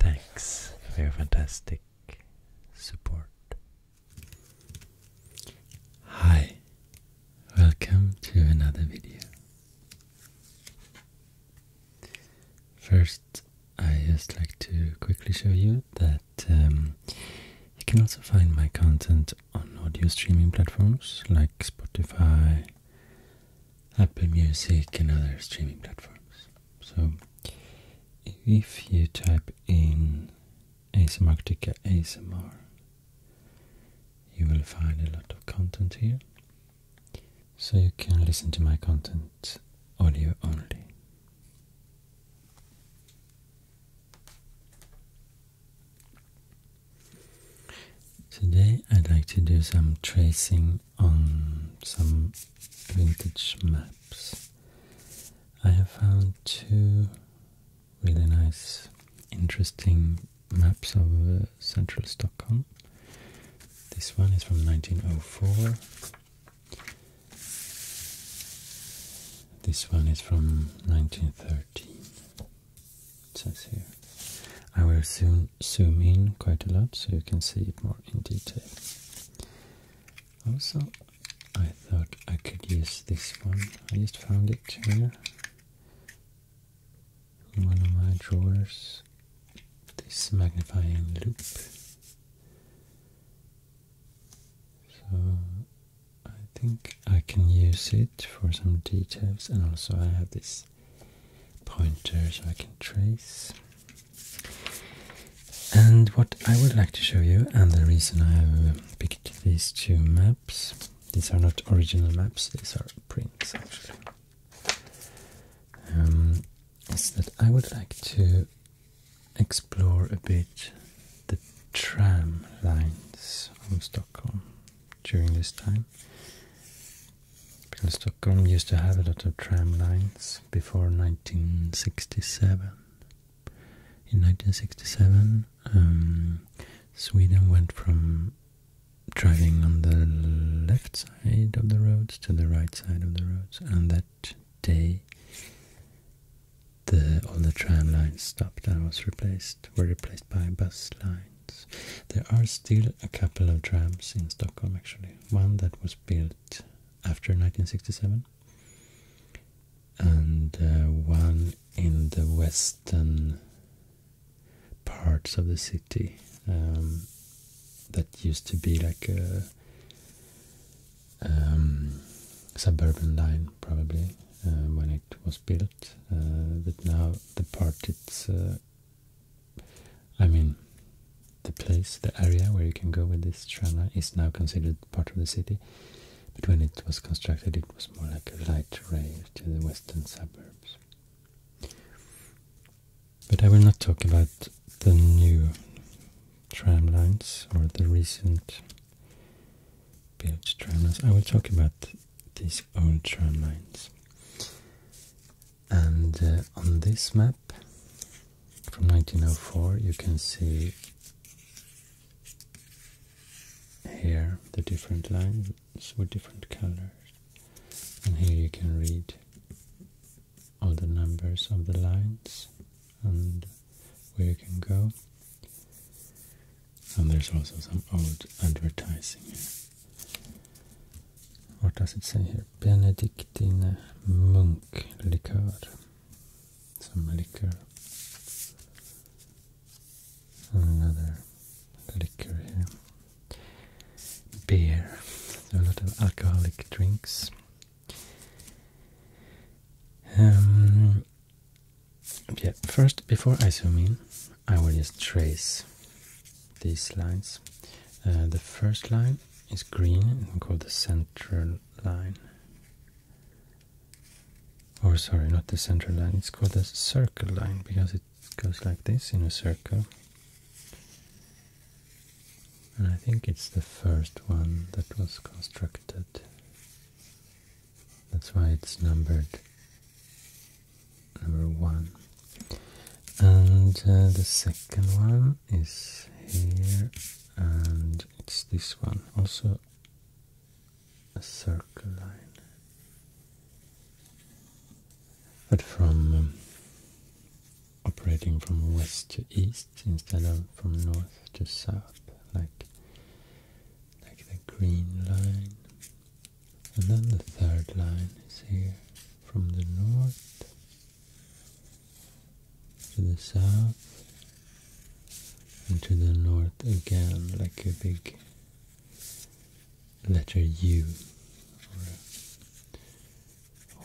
Thanks for fantastic support. Hi, welcome to another video. First, I just like to quickly show you that um, you can also find my content on audio streaming platforms like Spotify, Apple Music, and other streaming platforms. So if you type in ASMR, you will find a lot of content here. So you can listen to my content audio only. Today I'd like to do some tracing on some vintage maps, I have found two really nice, interesting maps of uh, central Stockholm. This one is from 1904. This one is from 1913. It says here. I will soon zoom in quite a lot so you can see it more in detail. Also, I thought I could use this one. I just found it in one of my drawers. This magnifying loop. So I think I can use it for some details, and also I have this pointer so I can trace. And what I would like to show you, and the reason I have picked these two maps, these are not original maps, these are prints actually, um, is that I would like to explore a bit the tram lines of Stockholm during this time. Because Stockholm used to have a lot of tram lines before 1967. In 1967, um, Sweden went from driving on the left side of the roads to the right side of the roads, and that day the all the tram lines stopped and was replaced were replaced by bus lines. There are still a couple of trams in Stockholm actually. One that was built after 1967 and uh, one in the western parts of the city um, that used to be like a um, suburban line, probably uh, when it was built. Uh, but now the part it's, I mean, the place, the area where you can go with this tram is now considered part of the city, but when it was constructed, it was more like a light rail to the western suburbs. But I will not talk about the new tram lines or the recent built tram I will talk about these old tram lines. And uh, on this map, from 1904 you can see here the different lines with different colors and here you can read all the numbers of the lines and where you can go and there's also some old advertising what does it say here? Benedictine Monk Liqueur some liquor another liquor here beer a lot of alcoholic drinks um, yeah first before I zoom in I will just trace these lines uh, the first line is green and called the central line. Or sorry, not the central line, it's called the circle line because it goes like this in a circle. And I think it's the first one that was constructed. That's why it's numbered number one. And uh, the second one is here and it's this one also a circle line but from um, operating from west to east instead of from north to south like like the green line and then the third line is here from the north to the south and to the north again like a big letter U or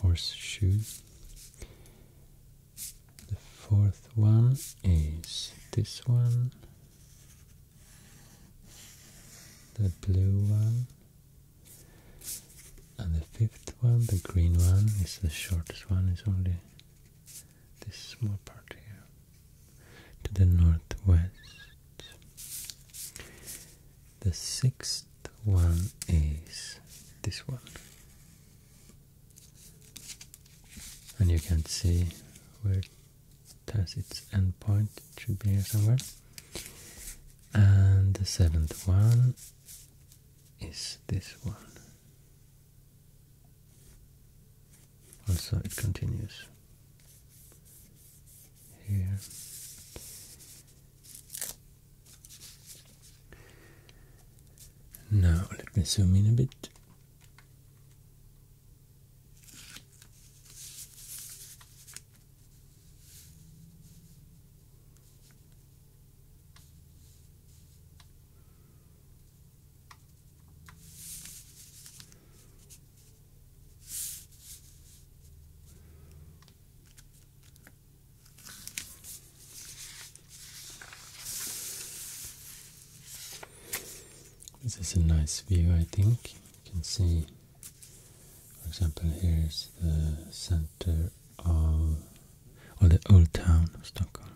a horseshoe. The fourth one is this one, the blue one, and the fifth one, the green one, is the shortest one, it's only this small part here to the northwest. The sixth one is this one. And you can see where it has its endpoint. it should be here somewhere. And the seventh one is this one. Also, it continues here. Now, let me zoom in a bit. This is a nice view, I think. You can see, for example, here's the center of or the old town of Stockholm,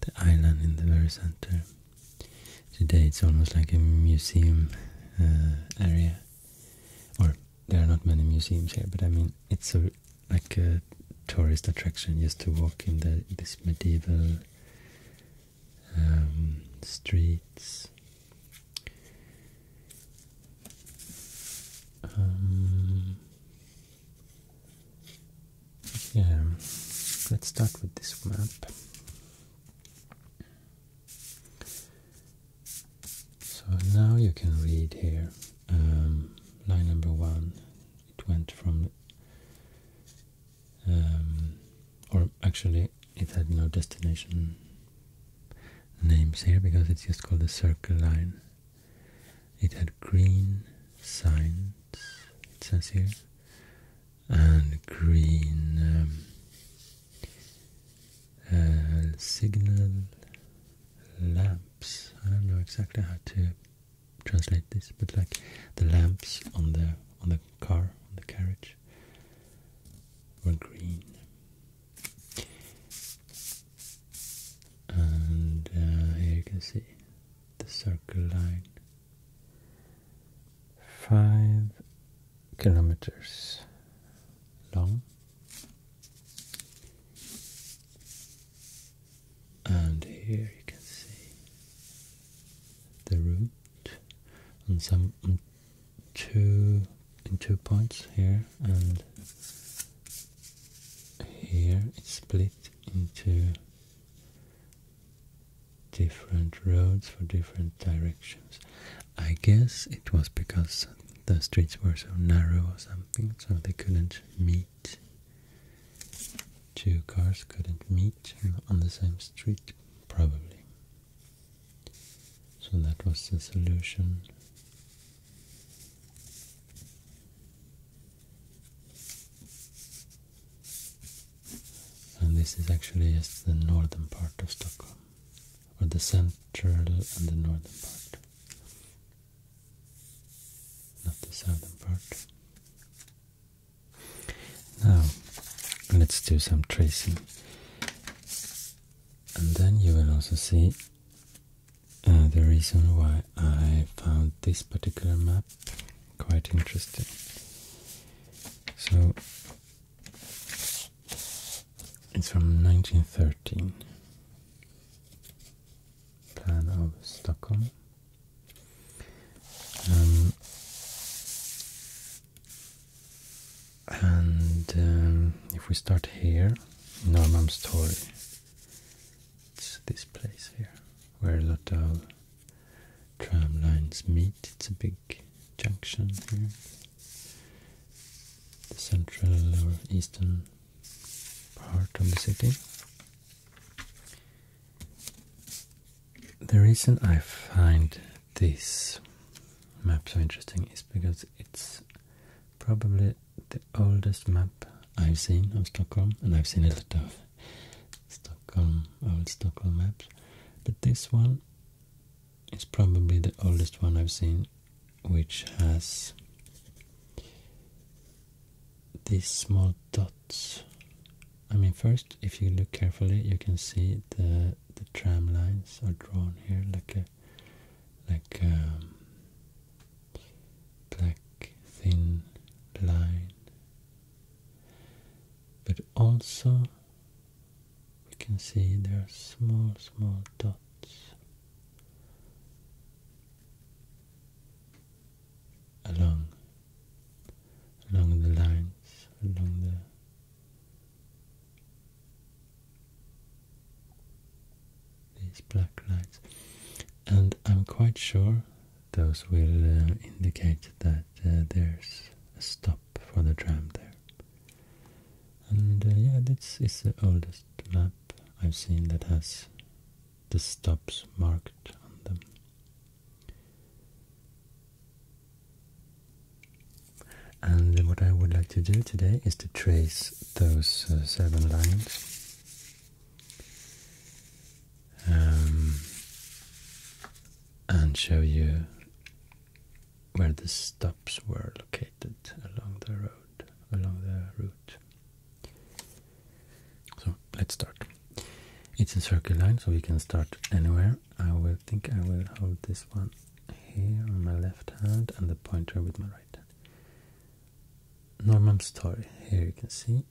the island in the very center. Today it's almost like a museum uh, area, or there are not many museums here, but I mean it's a, like a tourist attraction just to walk in the, this medieval um, streets. Um, yeah, let's start with this map. So now you can read here um, line number one. It went from, um, or actually, it had no destination names here because it's just called the circle line it had green signs, it says here, and green um, uh, signal lamps. I don't know exactly how to translate this, but like the lamps on the on the car, on the carriage, were green and uh, here you can see the circle line five kilometers long and here you can see the route on some two in two points here and here here is split into different roads for different directions. I guess it was because the streets were so narrow or something, so they couldn't meet. Two cars couldn't meet on the same street, probably. So that was the solution. And this is actually just the northern part of Stockholm, or the central and the northern part, not the southern part. Now, let's do some tracing. And then you will also see uh, the reason why I found this particular map quite interesting. So it's from 1913. Plan of Stockholm. Um, and um, if we start here, Norman's story. It's this place here where a lot of tram lines meet. It's a big junction here. The central or eastern part of the city. The reason I find this map so interesting is because it's probably the oldest map I've seen of Stockholm, and I've seen a lot of Stockholm, old Stockholm maps, but this one is probably the oldest one I've seen, which has these small dots. I mean, first, if you look carefully, you can see the the tram lines are drawn here like a like um, black thin line, but also we can see there are small, small dots along along the lines, along the these black lines and I'm quite sure those will uh, indicate that uh, there's a stop for the tram there. And uh, yeah, this is the oldest map I've seen that has the stops marked on them. And what I would like to do today is to trace those seven lines um, and show you where the stops were located along the road, along the route. So let's start. It's a circle line, so we can start anywhere. I will think I will hold this one here on my left hand and the pointer with my right hand. Norman's Torre, here you can see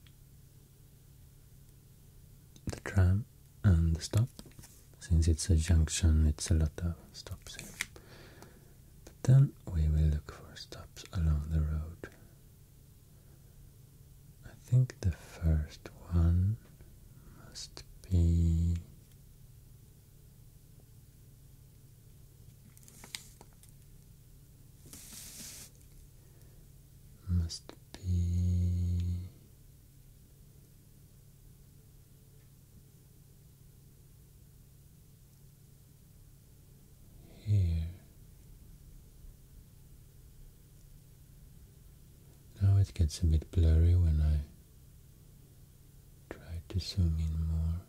the tram and the stop. Since it's a junction, it's a lot of stops here. But then we will look for stops along the road. I think the first one must be must be here. Now it gets a bit blurry when I try to zoom in more.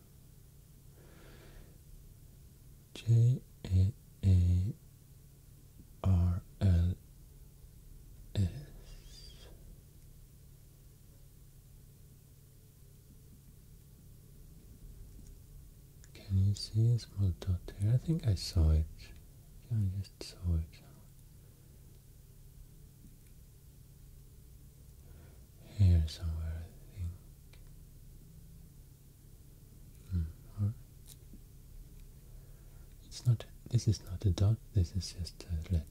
J A A R L S Can you see a small dot there? I think I saw it. I just saw it. Here somewhere, I think. Hmm. It's not. This is not a dot. This is just a letter.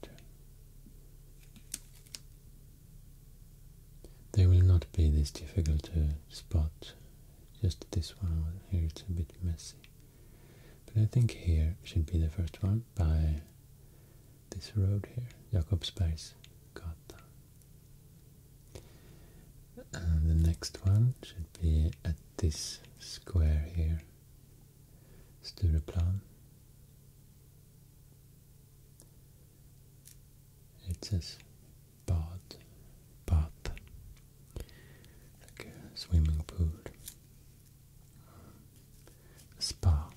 There will not be this difficult to spot. Just this one here. It's a bit messy. But I think here should be the first one by this road here, Jakobsbergsgatan. And the next one should be at this square here, Stureplan. It says bad, bath, like a swimming pool, spa.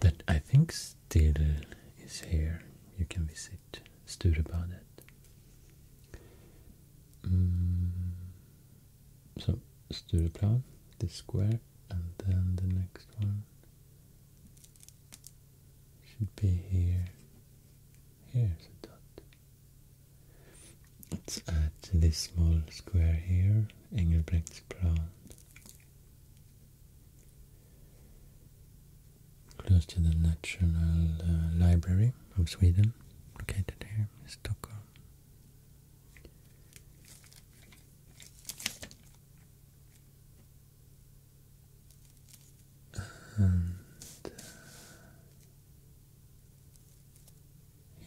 That I think still is here. You can visit it stood about it. Mm. So Stureplan, This square, and then the next one should be here. Here's a dot. Let's add this small square here, Engelbrechtsplan close to the National uh, Library of Sweden, located here Stockholm. And uh,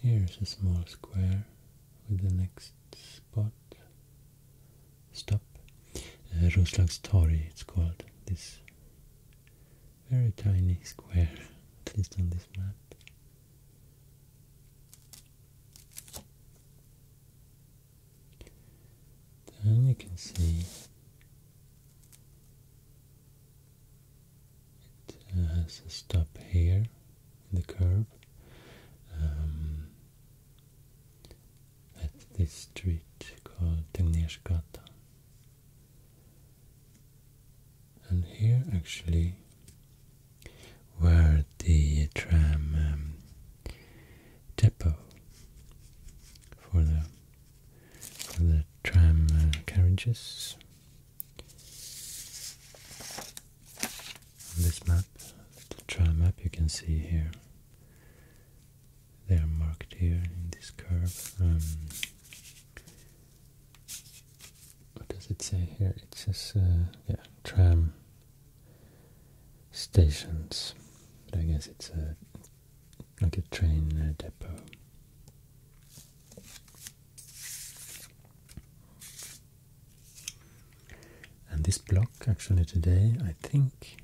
here's a small square with the next spot stop. Uh, Roslagstorg it's called, this very tiny square, at least on this map. Then you can see it uh, has a stop here, in the curve. Um, at this street called Tegnersgatan. And here actually were the tram um, depot for the tram uh, carriages. On this map, the tram map you can see here they are marked here in this curve. Um, what does it say here? It says, uh, yeah, tram stations, but I guess it's a uh, like a train uh, depot. And this block, actually today, I think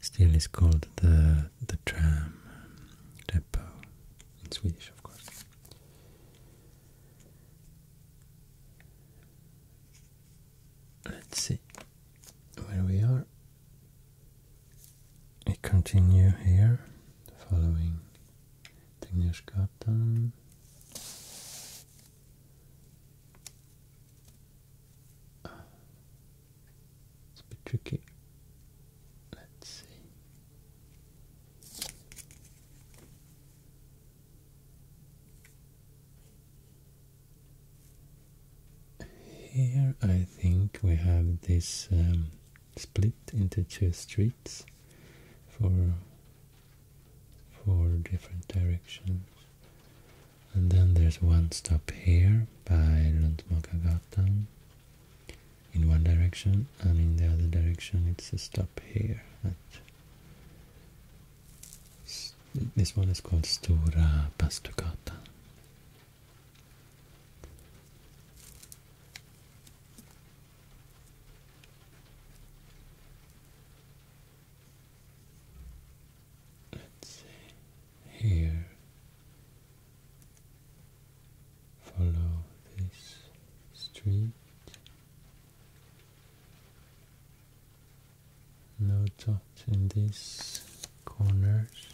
still is called the the tram um, depot in Swedish, of course. Let's see where we are. We continue here, following Tegnersgatan. It's a bit tricky. Let's see. Here I think we have this um, split into two streets for four different directions. And then there's one stop here by Luntmakagatan in one direction, and in the other direction it's a stop here. this one is called Stora Bastugatan let's see here follow this street no dots in these corners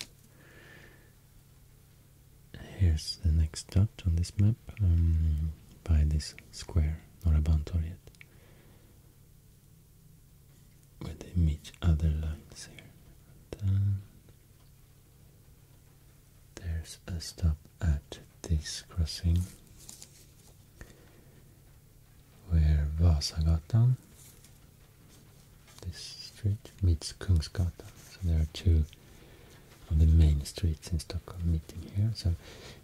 here's the next dot on this map um, by this square, Norra yet where they meet other lines here. there's a stop at this crossing where Vasagatan, this street, meets Kungsgatan. So there are two of the main streets in Stockholm meeting here. So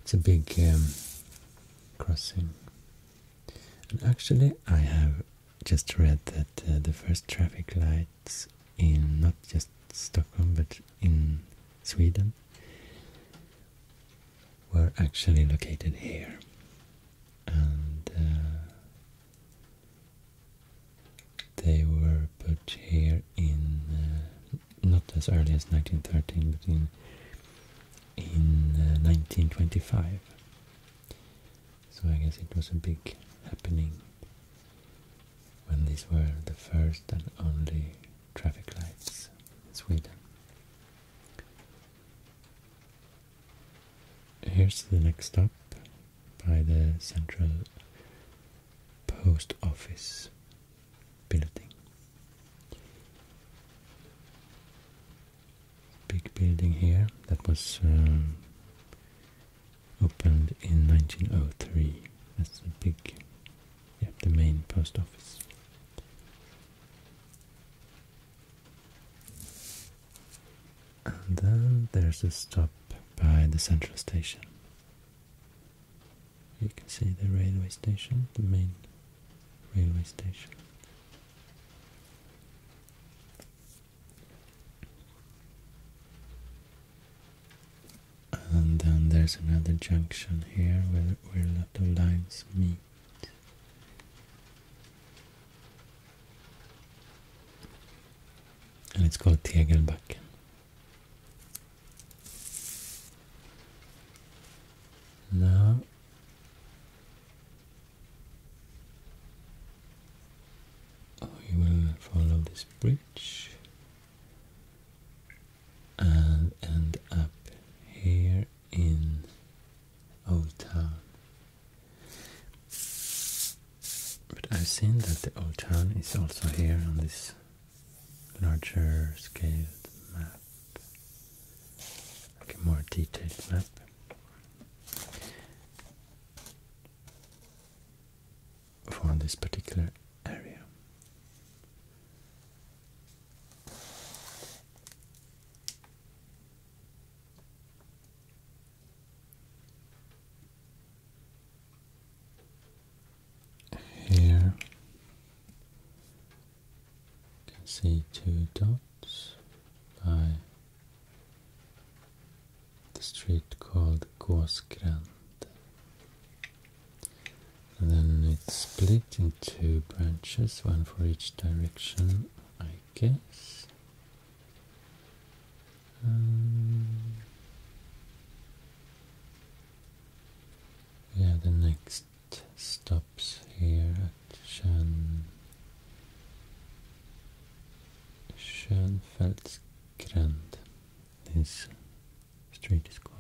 it's a big um, crossing. And actually, I have just read that uh, the first traffic lights in not just Stockholm but in Sweden were actually located here. And uh, they were put here in uh, not as early as 1913 but in in 1925 so I guess it was a big happening when these were the first and only traffic lights in Sweden. Here's the next stop by the central post office building big building here that was um, opened in 1903. That's the big, yeah, the main post office. And then there's a stop by the central station. You can see the railway station, the main railway station. And then there's another junction here where, where a lot of lines meet. And it's called Tegelbacken. Now we oh, will follow this bridge and end up here in Old Town. But I've seen that the Old Town is also here on this larger scaled map, like a more detailed map for this particular area. Here you can see two dots by the street called Gåsgrand. And then it split into two branches, one for each direction, I guess. Um, yeah, the next stops here at Shan Schönfeldsgränd. This street is called.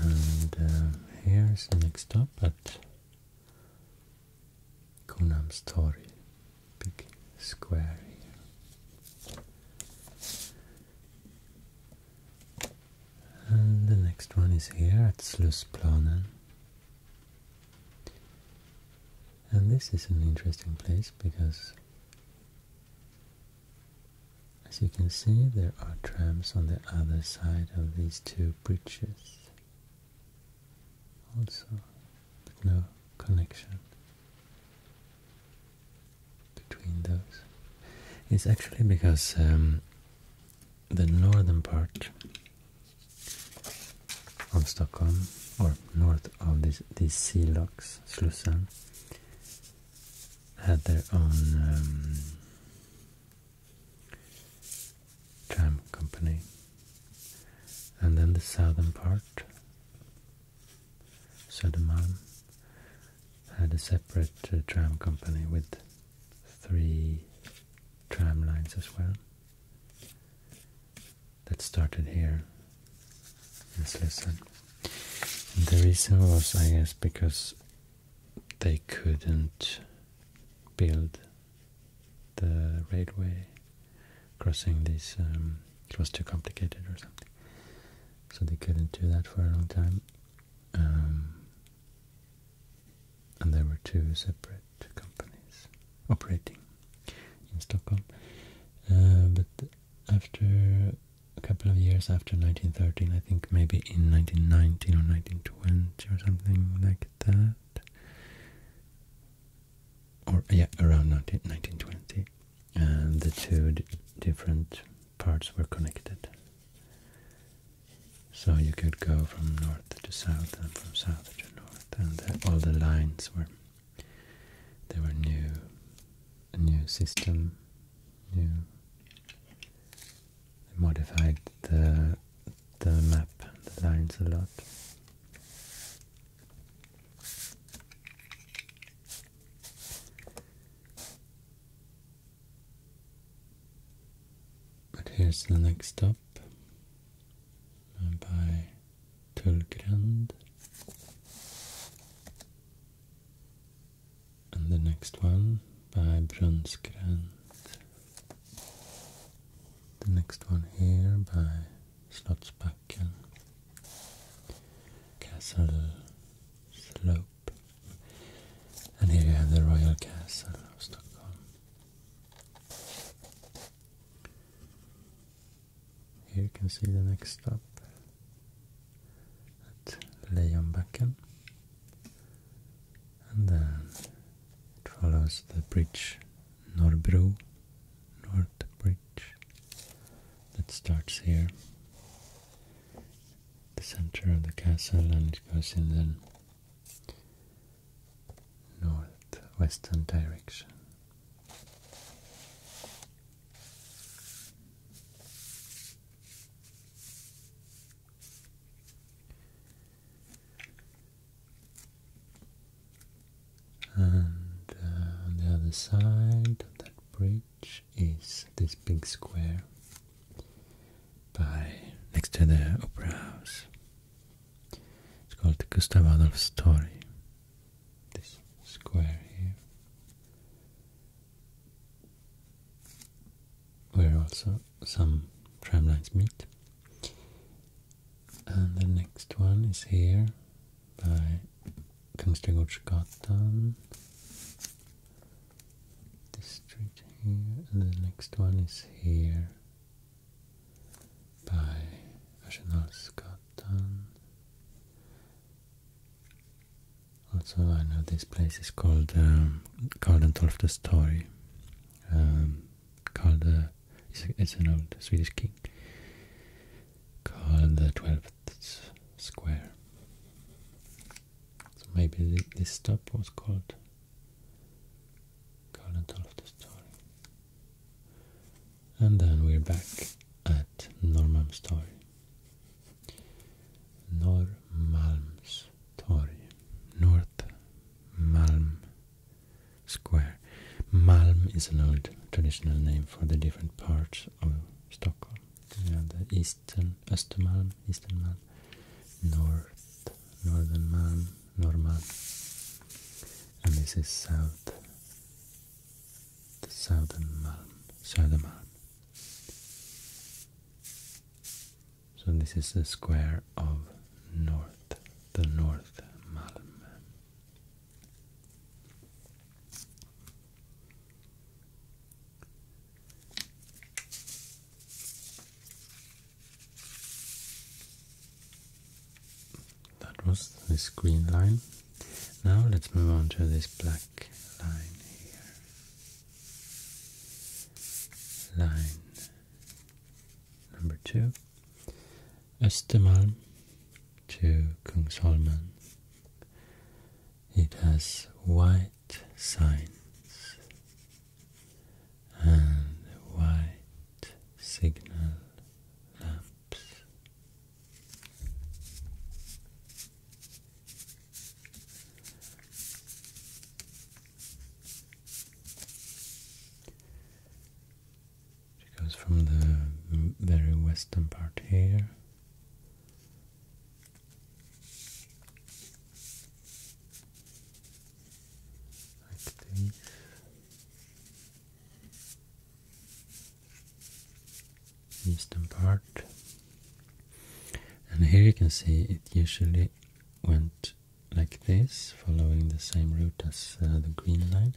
And um, here's the next stop at Konam's big square here. And the next one is here at Slussplanen. And this is an interesting place because as you can see there are trams on the other side of these two bridges also, but no connection between those. It's actually because um, the northern part of Stockholm, or north of this, these sea locks, Slussen, had their own um, tram company. And then the southern part, Södermalm, had a separate uh, tram company with three tram lines as well that started here in Slussen. And the reason was, I guess, because they couldn't build the railway crossing these, um, it was too complicated or something. So they couldn't do that for a long time. Um, and there were two separate companies operating in Stockholm. Uh, but after a couple of years after 1913, I think maybe in 1919 or 1920 or something like that, or yeah, around 19, 1920, and uh, the two different parts were connected so you could go from north to south and from south to north, and all the lines were they were new, a new system, new. modified the the map, the lines a lot. But here's the next stop by Tullgrand. And the next one by Brunnsgrand. The next one here by Slottsbacken. Castle Slope. And here you have the Royal Castle of Stockholm. Here you can see the next stop at Lejonbacken and then it follows the bridge Norbro, North Bridge that starts here the center of the castle and it goes in then northwestern direction. And uh, on the other side of that bridge is this big square by next to the opera house. It's called Gustav Adolf's Torre. This square here. Where also some tram lines meet. And the next one is here by Kungsträdgårdsgatan street here, and the next one is here by Nationalskatan. Also, I know this place is called um, Karl Torg. Um, Karl the uh, it's, it's an old Swedish king. Karl the Twelfth Square. So maybe this stop was called current of the story. And then we're back at Norrmalms story. Norrmalms torg. North Malm Square. Malm is an old traditional name for the different parts of Stockholm. We the eastern Östermalm, eastern man, north, northern man. Norma, and this is south, the southern Malm, So this is the square of north, the north Malm. That was this green line. Now let's move on to this black line here. Line number two. Östermalm to Kungsholmen. It has white signs and white signal lamps. It goes from the very western part here like these. Eastern part, and here you can see it usually went like this, following the same route as uh, the green line.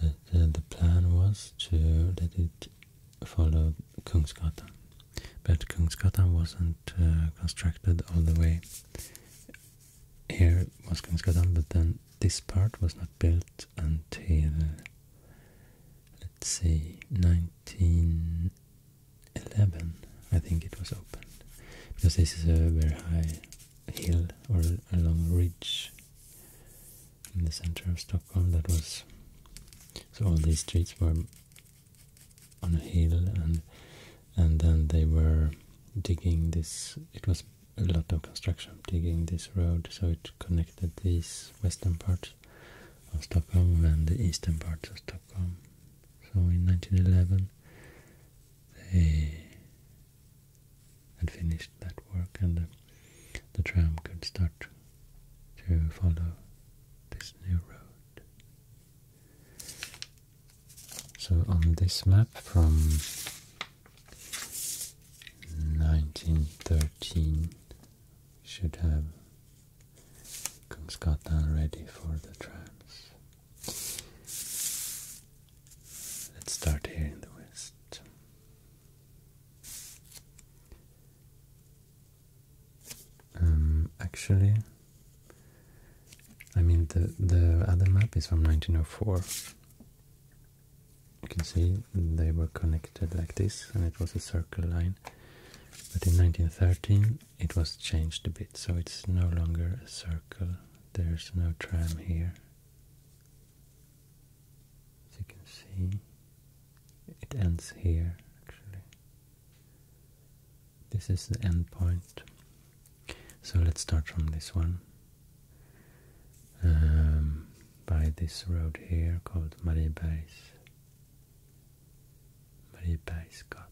But uh, the plan was to let it follow Kungsgatan, but Kungsgatan wasn't uh, constructed all the way here was ganska done, but then this part was not built until, let's see, 1911, I think it was opened. Because this is a very high hill or a long ridge in the center of Stockholm that was... So all these streets were on a hill and and then they were digging this it was a lot of construction digging this road so it connected these western parts of Stockholm and the eastern parts of Stockholm. So in 1911 they had finished that work and the, the tram could start to follow this new road. So on this map from 1913 should have Kungsgatan ready for the trams. Let's start here in the west. Um, actually, I mean, the, the other map is from 1904. You can see they were connected like this, and it was a circle line. But in 1913 it was changed a bit, so it's no longer a circle. There's no tram here. As you can see, it ends here actually. This is the end point. So let's start from this one. Um, by this road here called Mariebergs. Mariebergsgatan.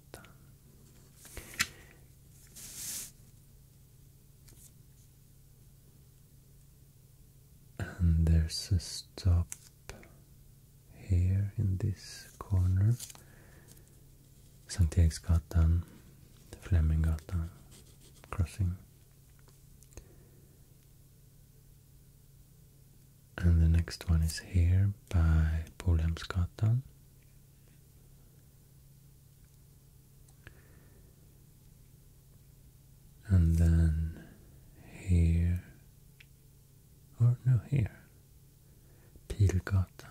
And there's a stop here in this corner Sankt Eriksgatan, Fleminggatan crossing. And the next one is here by Polhemsgatan. And then here, or no, here, Pilgatan.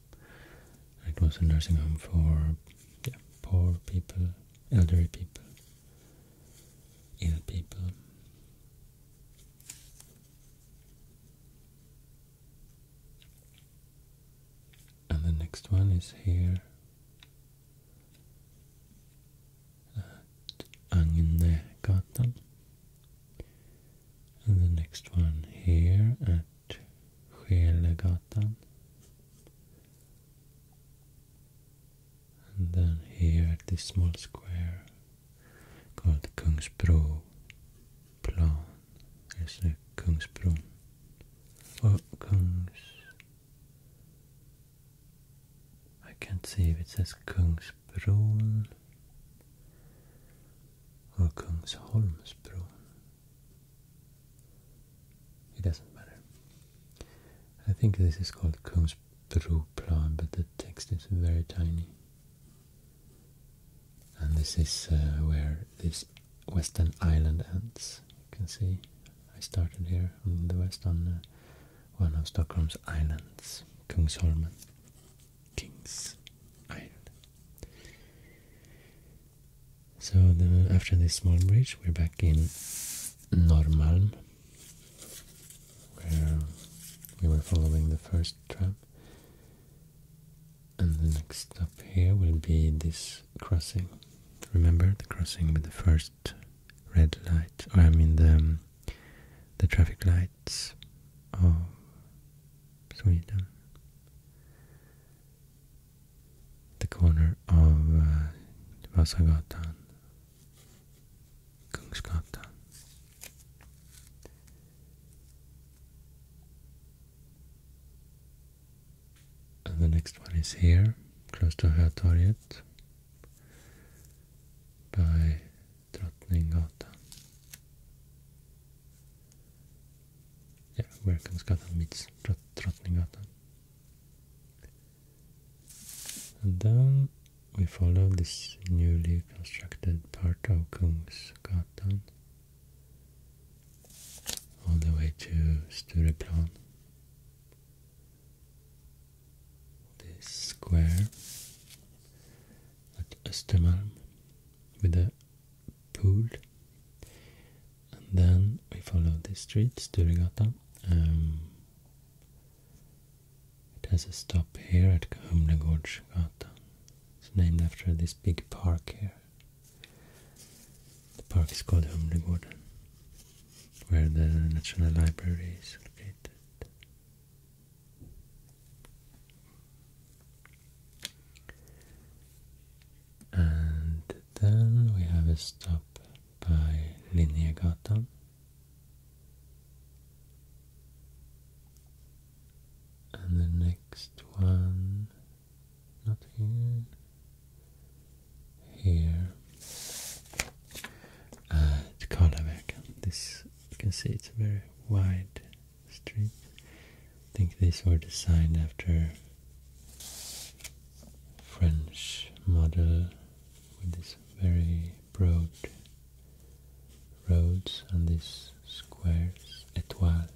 It was a nursing home for poor people, elderly people, ill people. And the next one is here at uh, Agnegatan. And the next one here at and then here at this small square called Kungsbro plan. Here's the Kungsbron. Oh, Kungs. I can't see if it says Kungsbron or Kungsholmsbron. It doesn't matter. I think this is called Kungsbruplan, but the text is very tiny. And this is uh, where this western island ends. You can see I started here on the west on uh, one of Stockholm's islands, Kungsholmen, King's Island. So after this small bridge, we're back in Norrmalm, where we were following the first tram. And the next stop here will be this crossing. Remember the crossing with the first red light, or I mean the the traffic lights of Sweden the corner of uh, Vasagatan, Kungsgatan. And the next one is here, close to Hötorget, by Drottninggatan ja, Werkensgatan meets Trot Drottninggatan. And then we follow this newly constructed part of Kungsgatan all the way to Stureplan. This square at Östermalm with a pool. And then we follow the streets to Um, it has a stop here at Humlegårdsgatan. It's named after this big park here. The park is called Humlegården, where the National Library is located. And then we have a stop by Linnégatan. And the next one, not here, here at Karlavägen. This you can see it's a very wide street. I think these were designed after French model with these very broad roads and these squares, étoiles.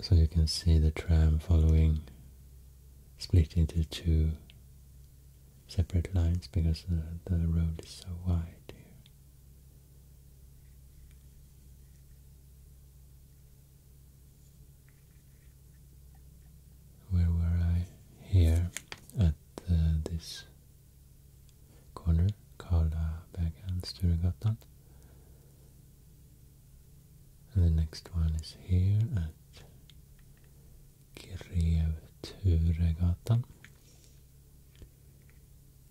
So you can see the tram following, split into two separate lines because uh, the, road is so wide here. Where were I? Here at uh, this corner called Bagan Sturegatan. And the next one is here at Grevturegatan.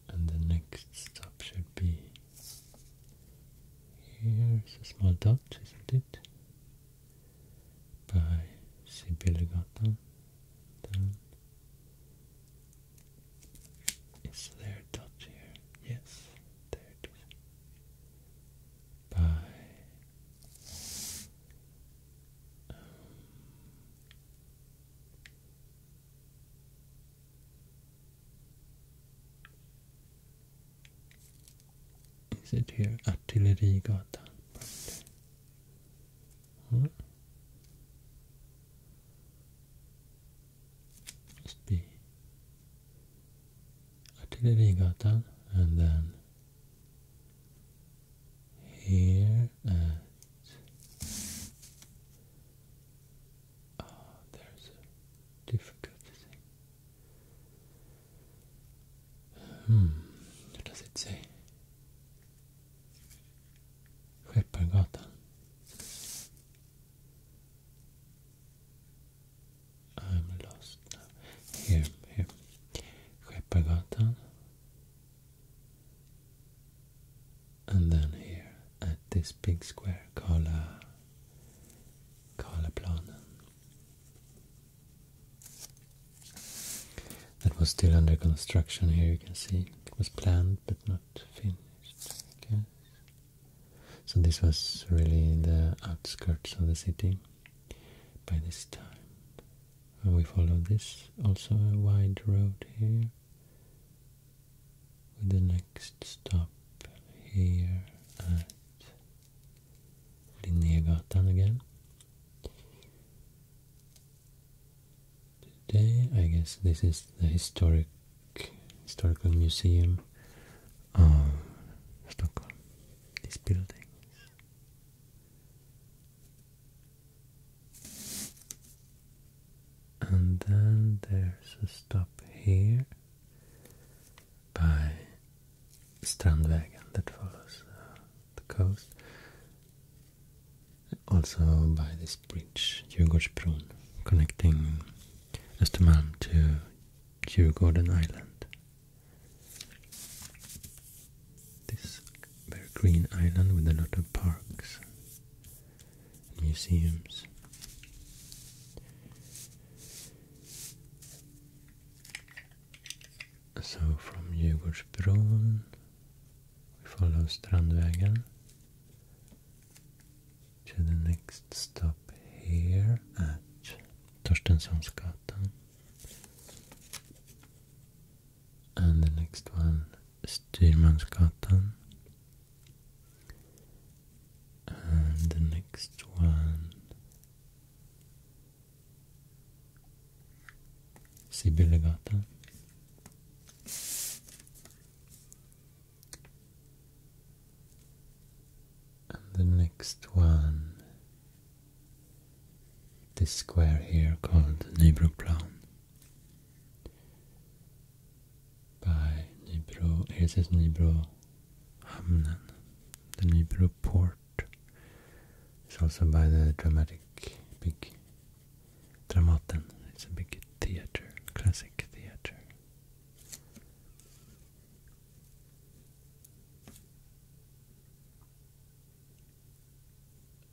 And the next stop should be Here's a small dot, isn't it? By Sibylle Gottham. Is there a dot here? Yes, there By um, is it here? Artillerigatan. Huh? Must be Artillerigatan and then here at Oh, there's a difficult thing. Hmm, what does it say? Skeppargatan. I'm lost now. Here, here. Skeppargatan and then here at this big square, Kala, Kalaplanen. That was still under construction here, you can see. It was planned but not finished, So this was really the outskirts of the city by this time. And we follow this, also a wide road here with an stop here at Linnégatan again. Today, I guess this is the historic historical museum of Stockholm. These buildings and then there's a stop here by Strandvägen that follows uh, the coast also by this bridge, Djurgårdsbron, connecting Östermalm to Djurgården Island this very green island with a lot of parks museums. So from Djurgårdsbron we follow Strandvägen to the next stop here at Torstensonsgatan and the next one Styrmansgatan and the next one, Sibylle And the next one, this square here called Nybroplan by Nybro, ESS Nybrohamnen, the Nybro port. It's also by the dramatic, big Dramaten. It's a big theater, classic theater.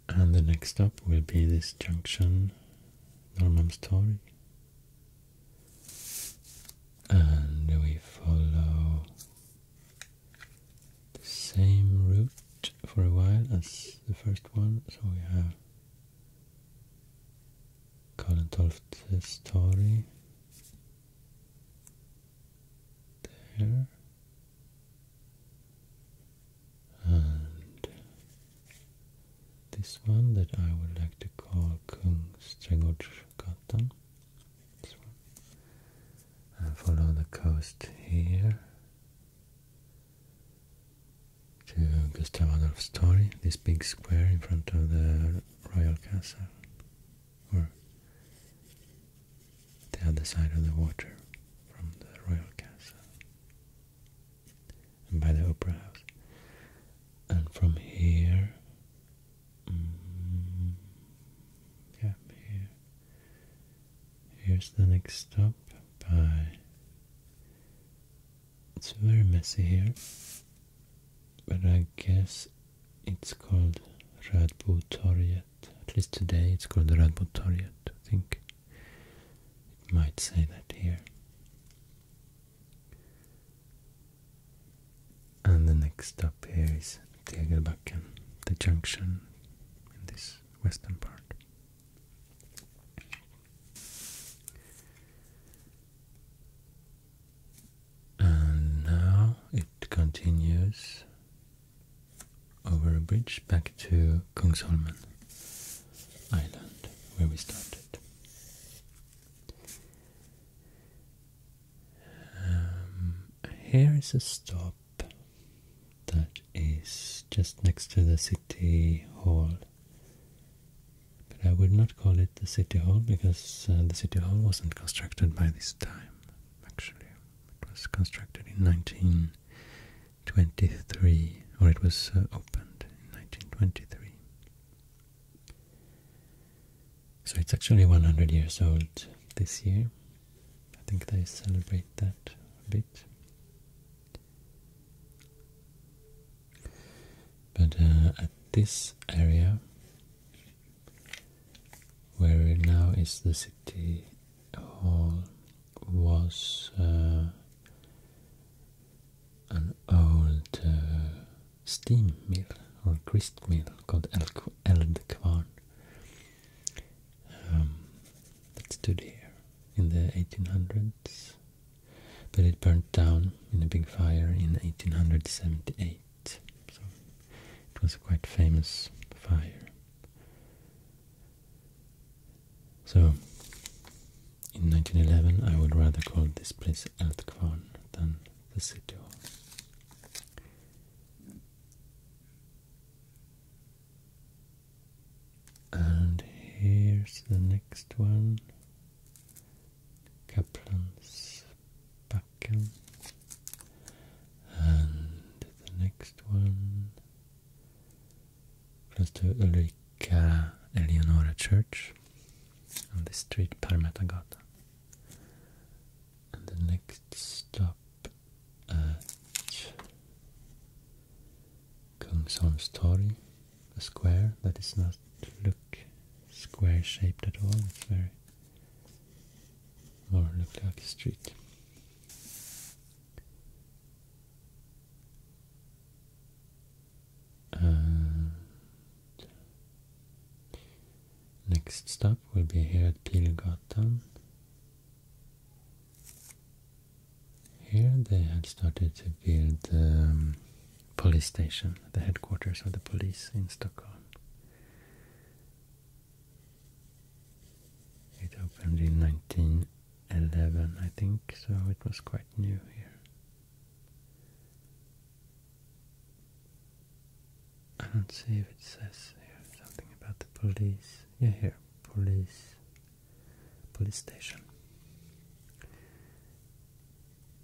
And the next stop will be this junction, Norrmalmstorg and we follow the same route for a while as the first one. So we have Kalentolft's story there and this one that I would like to call Kungsträdgårdsgatan. This one. And follow the coast here to Gustav Adolf's Torg, this big square in front of the royal castle, or the other side of the water from the royal castle and by the Opera House. And from mm, here, Here's the next stop by. It's very messy here, but I guess it's called Radbotorget. At least today it's called Radbotorget. I think it might say that here. And the next stop here is Tegelbacken, the junction in this western part. And now it continues over a bridge back to Kungsholmen Island, where we started. Um, here is a stop that is just next to the city hall. But I would not call it the city hall because uh, the city hall wasn't constructed by this time, actually. It was constructed in 1923, or it was uh, opened in 1923. So it's actually 100 years old this year. I think they celebrate that a bit. But uh, at this area, where now is the city hall, was uh, an old uh, steam mill or grist mill called Eldkvarn um, that stood here in the 1800s, but it burnt down in a big fire in 1878. So it was a quite famous fire. So in 1911 I would rather call this place Altkvarn than the city hall. And here's the next one, Kaplan's And the next one, close to Ulrika Eleonora Church on the street Parmetagata. And the next stop at uh, Kungsholmstorg, a square that does not look square shaped at all. It's very more look like a street. Uh, next stop will be here at Pilgatan. Here they had started to build the um, police station, the headquarters of the police in Stockholm. It opened in 1911, I think, so it was quite new here. I don't see if it says something about the police. Yeah, here. Police. Police station.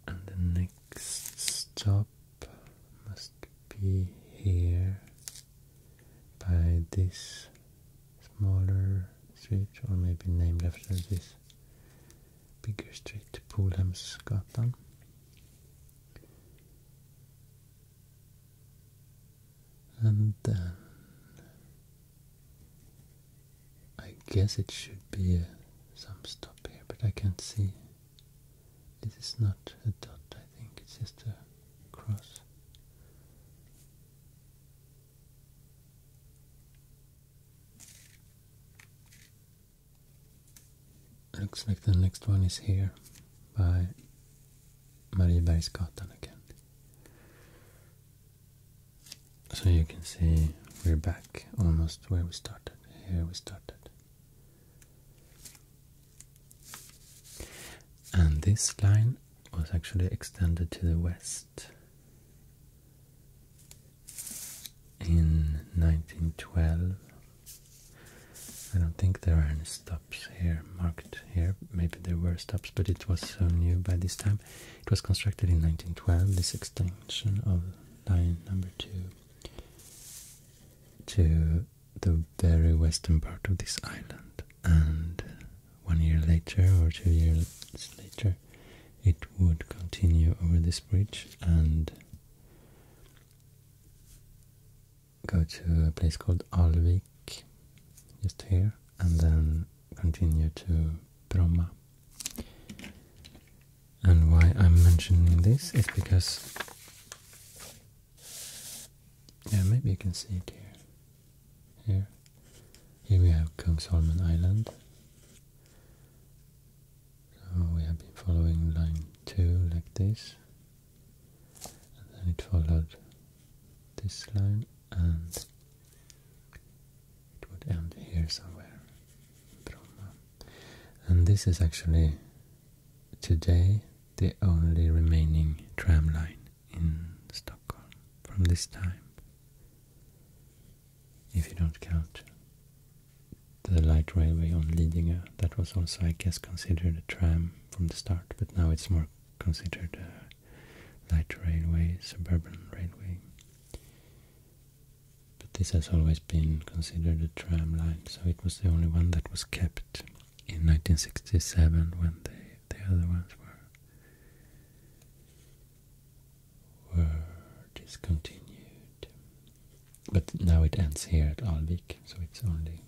And the next stop must be here by this smaller street, or maybe named after this Bigger Street, Polhemsgatan. And then I guess it should be uh, some stop here, but I can't see. This is not a dot, I think, it's just a cross. Looks like the next one is here by Marie Mariebergsgatan again. So you can see we're back almost where we started. Here we started. And this line was actually extended to the west in 1912. I don't think there are any stops here marked here. Maybe there were stops, but it was so new by this time. It was constructed in 1912, this extension of line number 2 to the very western part of this island. And one year later or two years later, it would continue over this bridge and go to a place called Alvik, just here, and then continue to Bromma. And why I'm mentioning this is because, yeah, maybe you can see it here. Here, here we have Kungsholmen Island, so oh, we have been following line 2 like this, and then it followed this line, and it would end here somewhere, And this is actually today the only remaining tram line in Stockholm from this time if you don't count the light railway on Lidingö. That was also, I guess, considered a tram from the start, but now it's more considered a light railway, suburban railway. But this has always been considered a tram line, so it was the only one that was kept in 1967 when the, the other ones were were discontinued. But now it ends here at Alvik, so it's only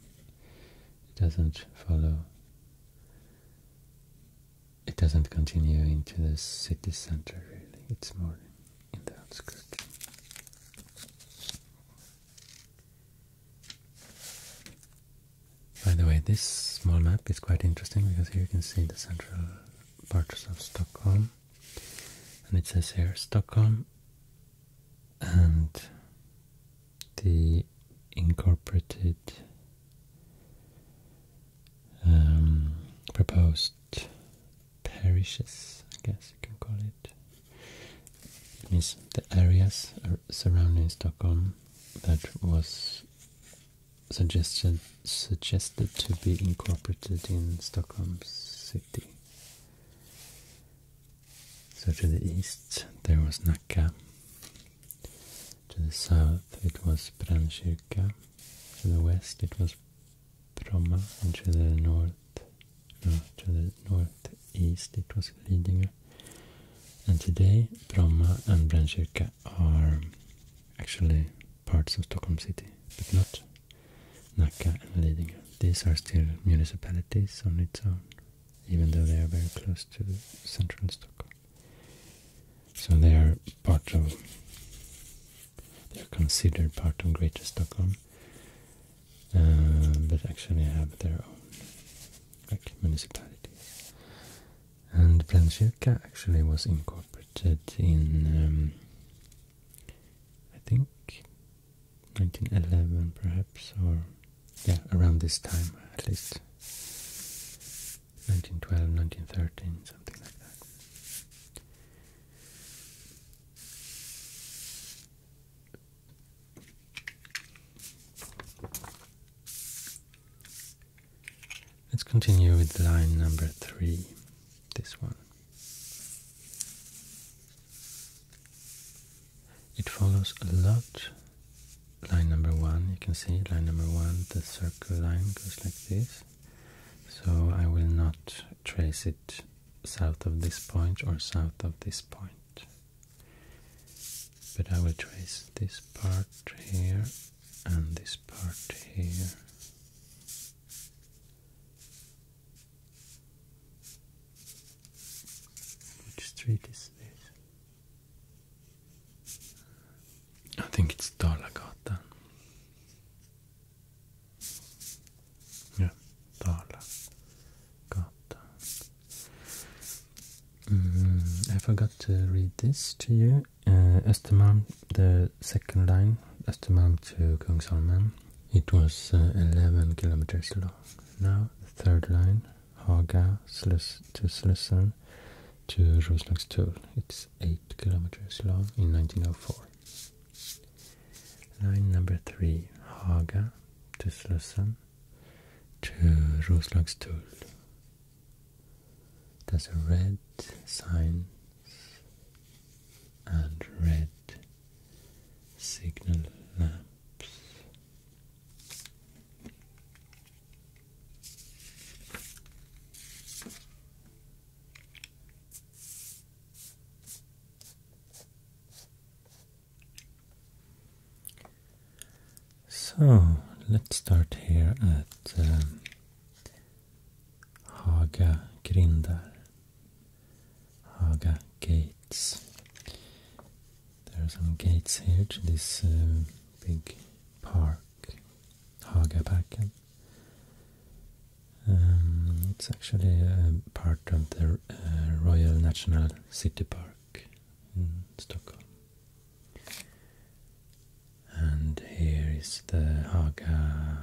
it doesn't follow it doesn't continue into the city center really, it's more in the outskirts. By the way, this small map is quite interesting because here you can see the central parts of Stockholm and it says here Stockholm and the incorporated um, proposed parishes, I guess you can call it. means the areas surrounding Stockholm that was suggested suggested to be incorporated in Stockholm's city so to the east there was Naqqa, to the south it was Branshirka, to the west it was Bromma, and to the north, to the north east it was Lidingö. And today Bromma and Branshirka are actually parts of Stockholm city, but not Nacka and Lidingö. These are still municipalities on its own, even though they are very close to central Stockholm. So they are part of, they are considered part of Greater Stockholm, uh, but actually have their own like municipalities. And Plankyrka actually was incorporated in um, I think 1911 perhaps, or yeah, around this time at least. 1912, 1913, something like that. Let's continue with line number three, this one. It follows a lot. Line number one, you can see line number one, the circle line goes like this. So I will not trace it south of this point or south of this point. But I will trace this part here and this part here. Which street is this? I think it's Dalagatan. Yeah, Dalagatan. Mm, I forgot to read this to you. Uh, the second line, Östermalm to Kungsholmen, it was uh, 11 kilometers long. Now third line, Haga to Slussen to Roslagstull, it's 8 kilometers long in 1904. Line number 3, Haga to Slussen to Roslagstull. There's a red sign and red signal lamps. So let's start here at um, Haga Grindar. Haga gates. There are some gates here to this uh, big park, Hagaparken. Um, it's actually a um, part of the uh, Royal National City Park in Stockholm. And here is the Haga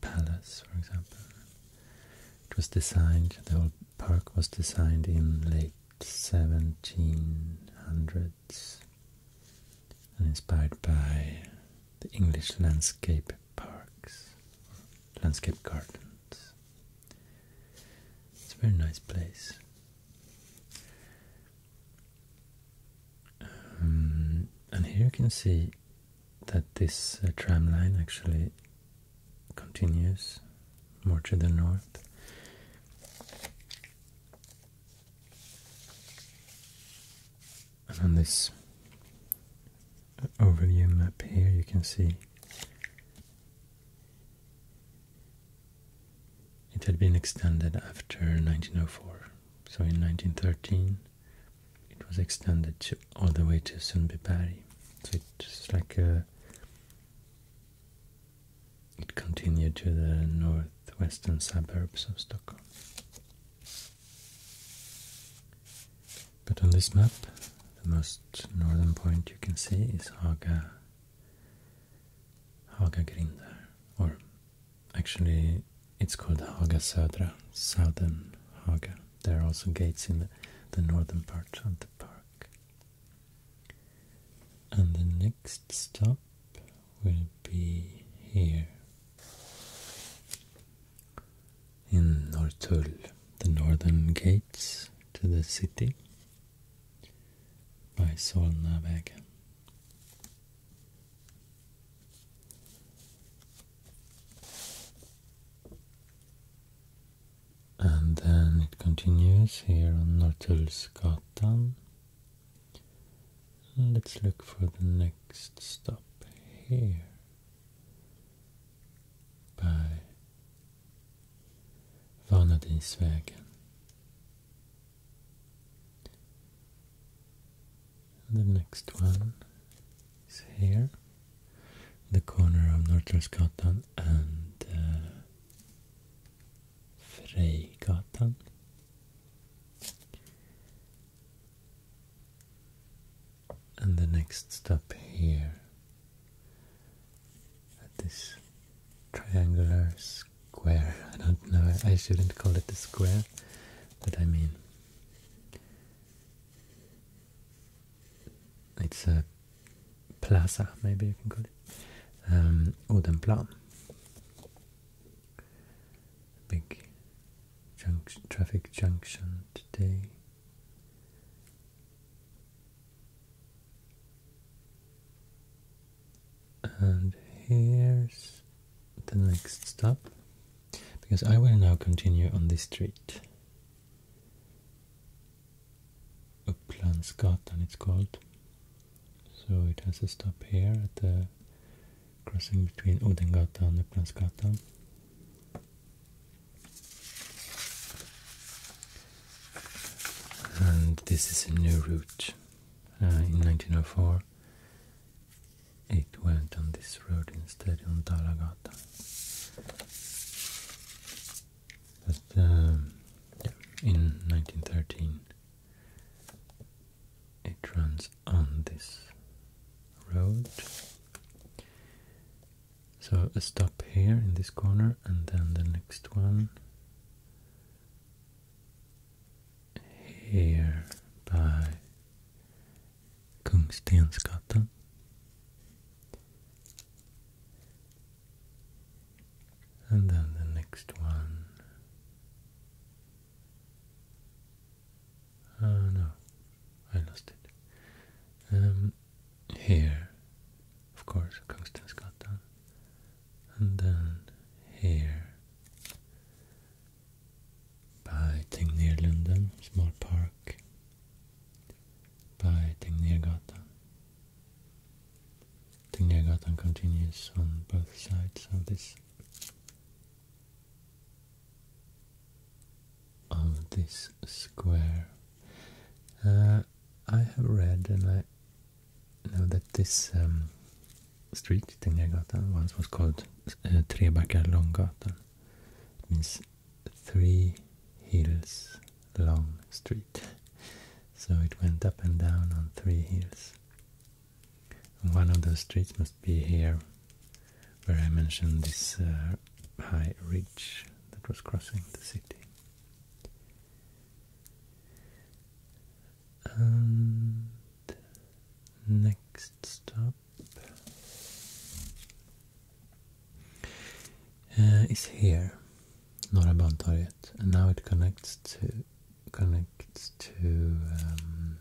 Palace, for example. It was designed, the whole park was designed in late 1700s and inspired by the English landscape parks, landscape gardens. It's a very nice place. Um, and here you can see that this uh, tram line actually continues more to the north. And on this overview map here, you can see it had been extended after 1904. So in 1913, it was extended all the way to Sunbipari. So it's like uh, it continued to the northwestern suburbs of Stockholm. But on this map, the most northern point you can see is Haga, Haga Grindar, or actually it's called Haga Södra, southern Haga. There are also gates in the, northern part of the park. And the next stop will be here in Nortul, the northern gates to the city by Solnavägen and then it continues here on Norrtullsgatan let's look for the next stop here by Vanadisvägen the next one is here, the corner of Norrtullsgatan and uh, Frejgatan. And the next stop here at this triangular square. I don't know, I shouldn't call it a square, but I mean it's a plaza, maybe you can call it, um, Odenplan. Big traffic junction today. And here's the next stop, because I will now continue on this street and it's called. So it has a stop here at the crossing between Odengatan and Upplandsgatan. And this is a new route. Uh, in 1904 it went on this road instead on Dalagata. But um, in 1913, it runs on this road. So a stop here in this corner, and then the next one here by Kungstensgatan and then the next one Oh no, I lost it um, here of course, Kungstensgatan and then here by thing near London, small park by Tengnirgatan. Tengnirgatan continues on both sides of this of this square. Uh, I have read and I know that this um, street, Tengnirgatan, once was called uh, Trebackar three hills long street. So it went up and down on three hills. one of those streets must be here, where I mentioned this uh, high ridge that was crossing the city. next stop uh, is here, not a Norra yet, and now it connects to connects to um,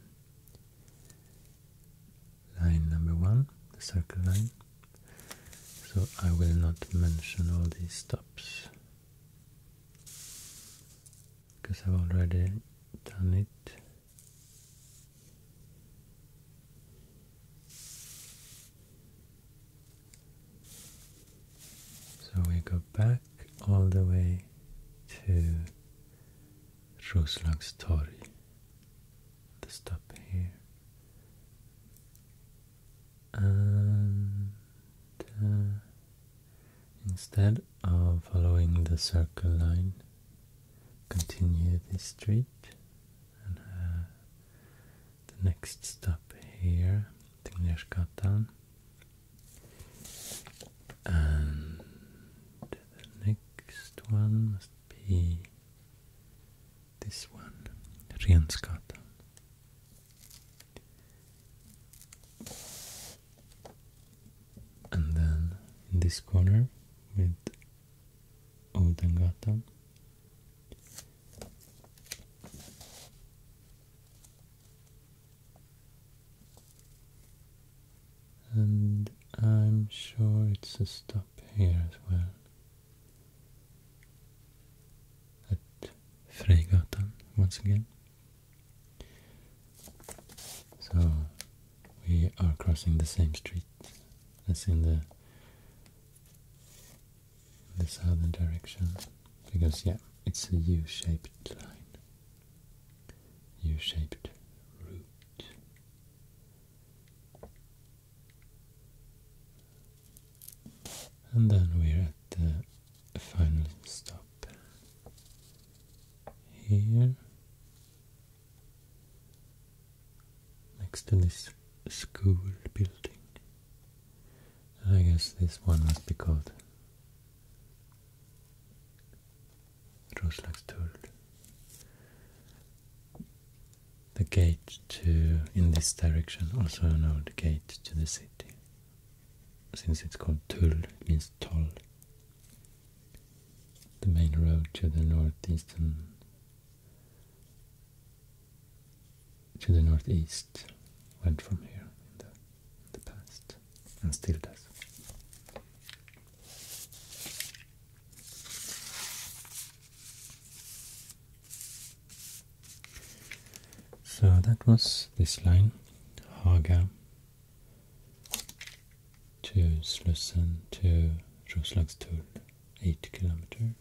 line number one, the circle line. So I will not mention all these stops because I've already done it so we go back all the way to Roslagstorg. The stop here. And uh, instead of following the circle line, continue the street uh, the next stop here, Tingnesgatan, and the next one must be this one, Rensgatan. And then in this corner with Odengatan and I'm sure it's a stop here as well. At Frejgatan once again. So we are crossing the same street as in the the southern direction because yeah it's a u-shaped line u-shaped route and then we're at the final stop here next to this school building. I guess this one must be called Roslagstorg. The gate to in this direction, also an old gate to the city. Since it's called Tull, means toll. The main road to the northeastern to the northeast went from here in the, past and still does. So that was this line, Haga to Slussen to Roslagstull eight kilometers.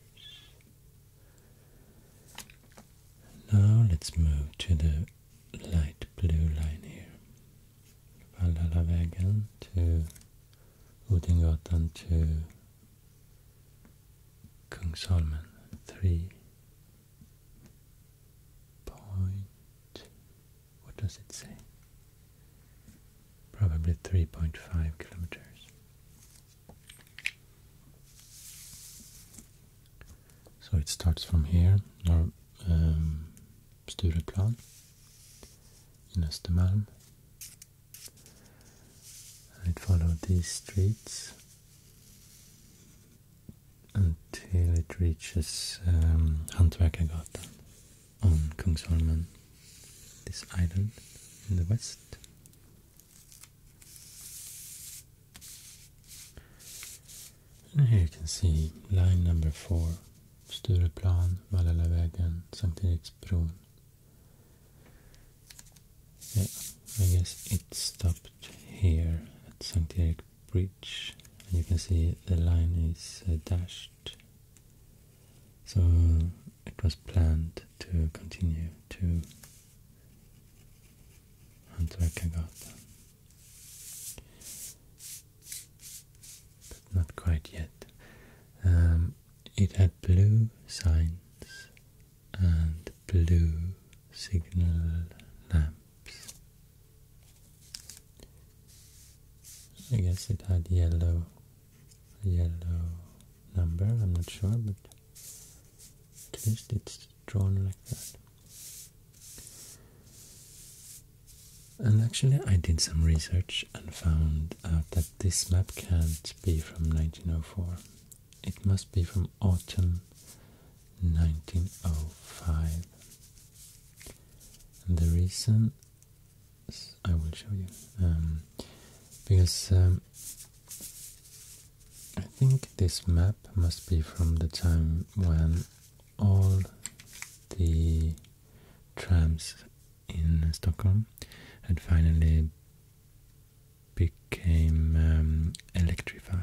Now let's move to the light blue line here. Vallalavägen to Odengatan to Kungsholmen, three point. What does it say? probably 3.5 kilometers. So it starts from here, Nor um, Stureplan in Östermalm. It followed these streets until it reaches um, Hantverkargatan on Kungsholmen this island in the west. And here you can see line number four, Stureplan, Valhallavägen, Sankt Eriksbron. Yeah, I guess it stopped here at Sankt Erik Bridge, and you can see the line is uh, dashed so it was planned to continue to Antarkagata. But not quite yet. Um, it had blue signs and blue signal lamps. I guess it had yellow yellow number, I'm not sure, but at least it's drawn like that. And actually I did some research and found out that this map can't be from 1904. It must be from autumn 1905. And the reason I will show you. Um, because um, I think this map must be from the time when all the trams in Stockholm had finally became um, electrified.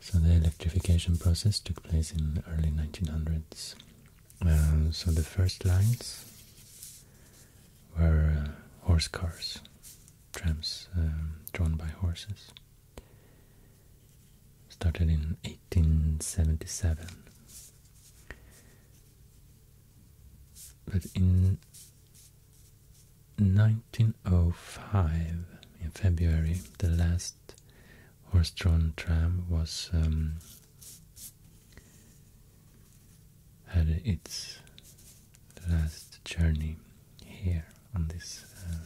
So the electrification process took place in the early 1900s uh, so the first lines were uh, horse cars, trams um, drawn by horses. Started in 1877. But in 1905, in February, the last horse-drawn tram was um, had its last journey here on this uh,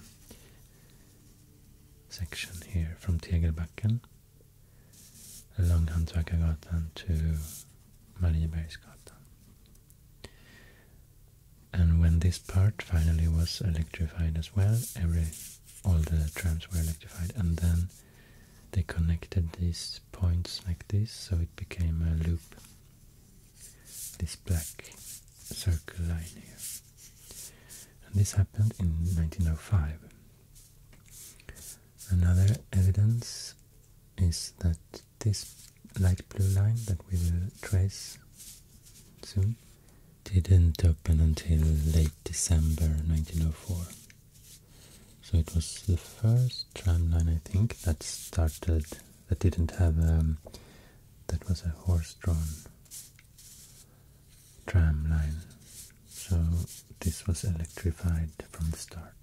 section here from Tegelbacken along Hantverkargatan to Mariebergsgatan. And when this part finally was electrified as well, every all the trams were electrified and then they connected these points like this, so it became a loop. This black circle line here. And this happened in 1905. Another evidence is that this light blue line that we will trace soon didn't open until late December 1904. So it was the first tramline I think that started that didn't have um, that was a horse-drawn tram line. So this was electrified from the start.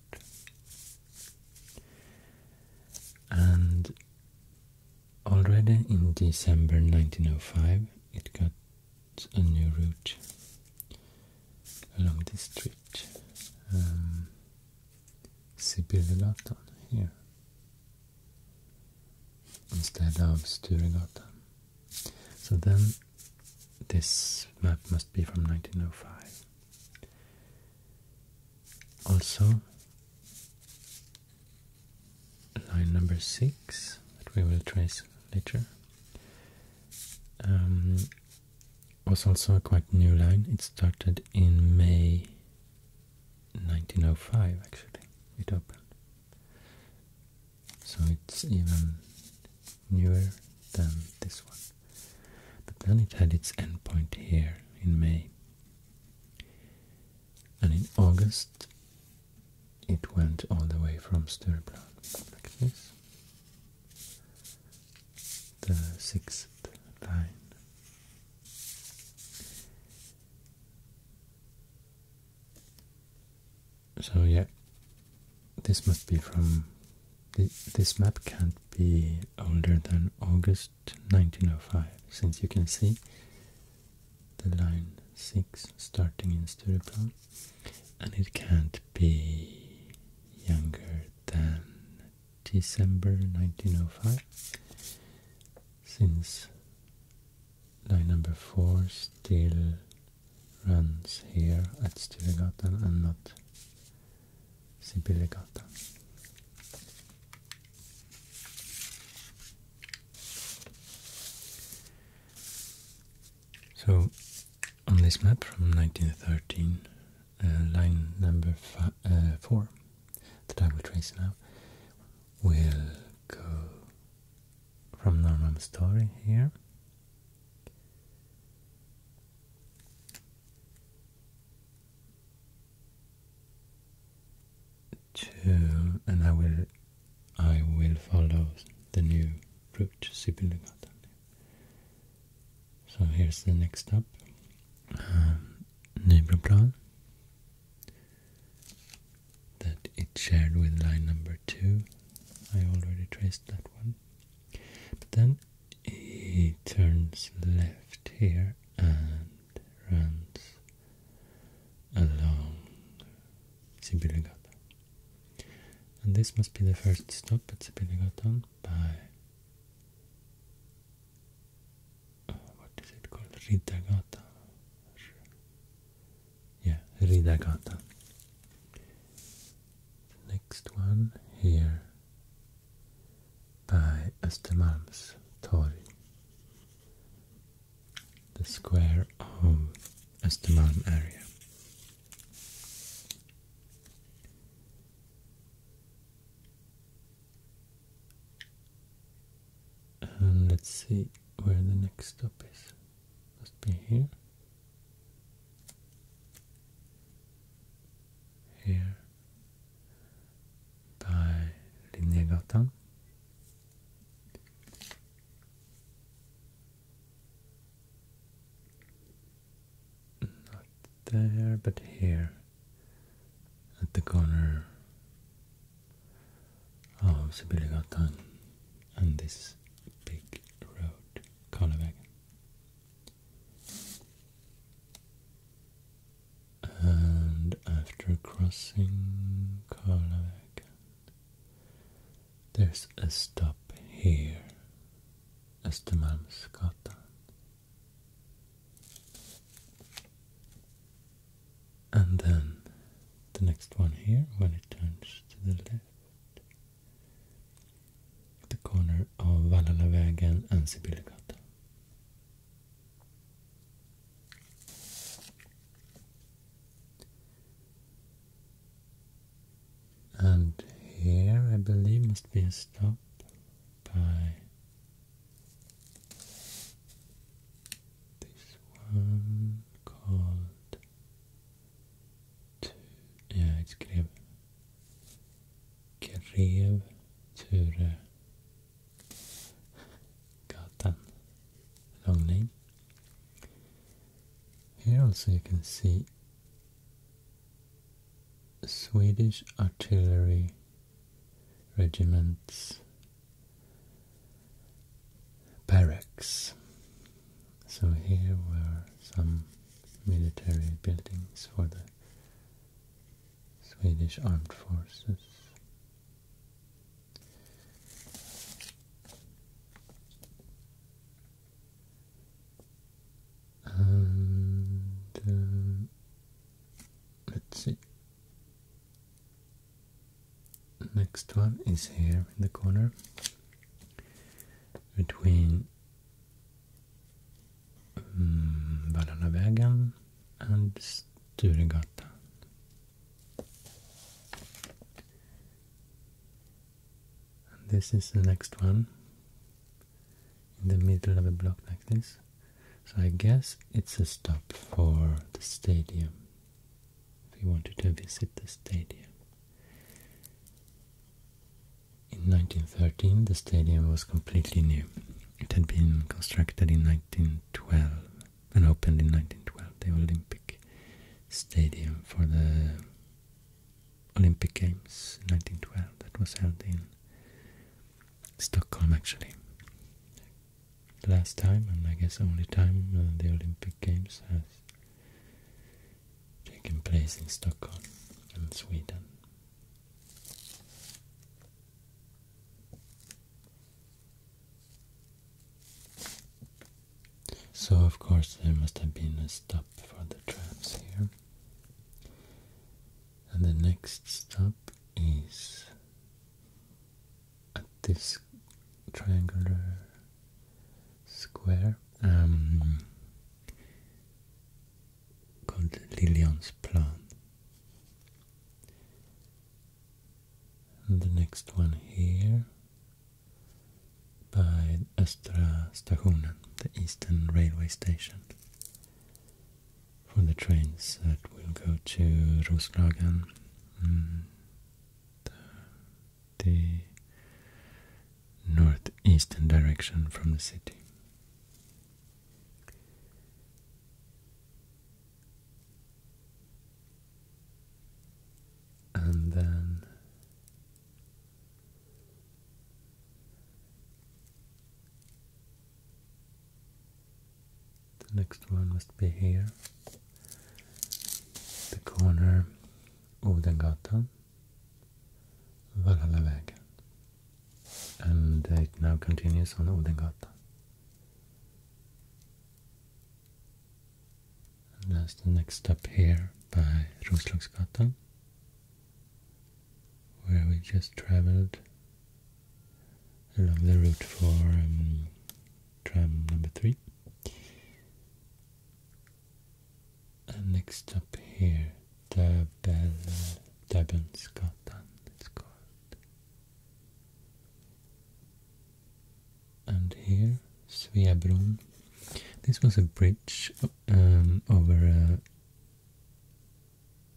And already in December 1905 it got a new route along this street. Um, Sibirgatan here instead of Sturegatan. So then this map must be from 1905. Also, line number six that we will trace later um, was also a quite new line. It started in May 1905 actually, it opened. So it's even newer than this one. But then it had its endpoint here in May. And in August it went all the way from Stureplan, like this, the sixth line. So yeah, this must be from, this map can't be older than August 1905, since you can see the line 6 starting in Stureplan and it can't be younger than December 1905 since line number 4 still runs here at Sturegatan and not Sibyllegatan. So, on this map from 1913, uh, line number uh, 4 that I will trace now will go from Norman Story here to and I will I will follow the new route to Sibiligatan so here's the next stop, uh, um, Nybroplan, that it shared with line number two. I already traced that one. But then it turns left here and runs along Sibiligatan. And this must be the first stop at Sibiligatan by uh, what is it called? Ridagata. Yeah, Ridagata. next one here by Östermalms Tori. The square of Östermalm area. And let's see where the next stop is. Must be here. Here by Linnegatan. Not there, but here. At the corner of Sibiligatan and this big road, Karlavägen. And after crossing Karlavägen, there's a stop here Östermalmsgatan. And then the next one here, when it turns to the left, the corner of Vallalavägen and Sibyllegatan. And here I believe must be a stop by this one called to yeah it's Grev Grev Ture Gatan long name. Here also you can see Swedish artillery regiments barracks. So here were some military buildings for the Swedish armed forces. And uh, let's see. Next one is here in the corner between um, mm, Valhalla and Sturegatan and this is the next one in the middle of a block like this. So I guess it's a stop for the stadium. If you wanted to visit the stadium. In 1913 the stadium was completely new. It had been constructed in 1912 and opened in 1912, the Olympic Stadium for the Olympic Games 1912 that was held in Stockholm actually. The last time, and I guess only time uh, the Olympic Games has taken place in Stockholm and Sweden. So of course there must have been a stop for the trams here. And the next stop is at this triangular square um, called Lillian's Plan. And the next one here by vid Östra the eastern railway station, for the trains that will go to Roslagen and mm, the northeastern direction from the city. And then the next one must be here, the corner Odengatan, Valhallavägen, and it now continues on Odengatan. And that's the next step here by Roslagsgatan where we just traveled along the route for um, tram number three. And next up here, Tabelskatan it's called. And here, Sveabron. This was a bridge um, over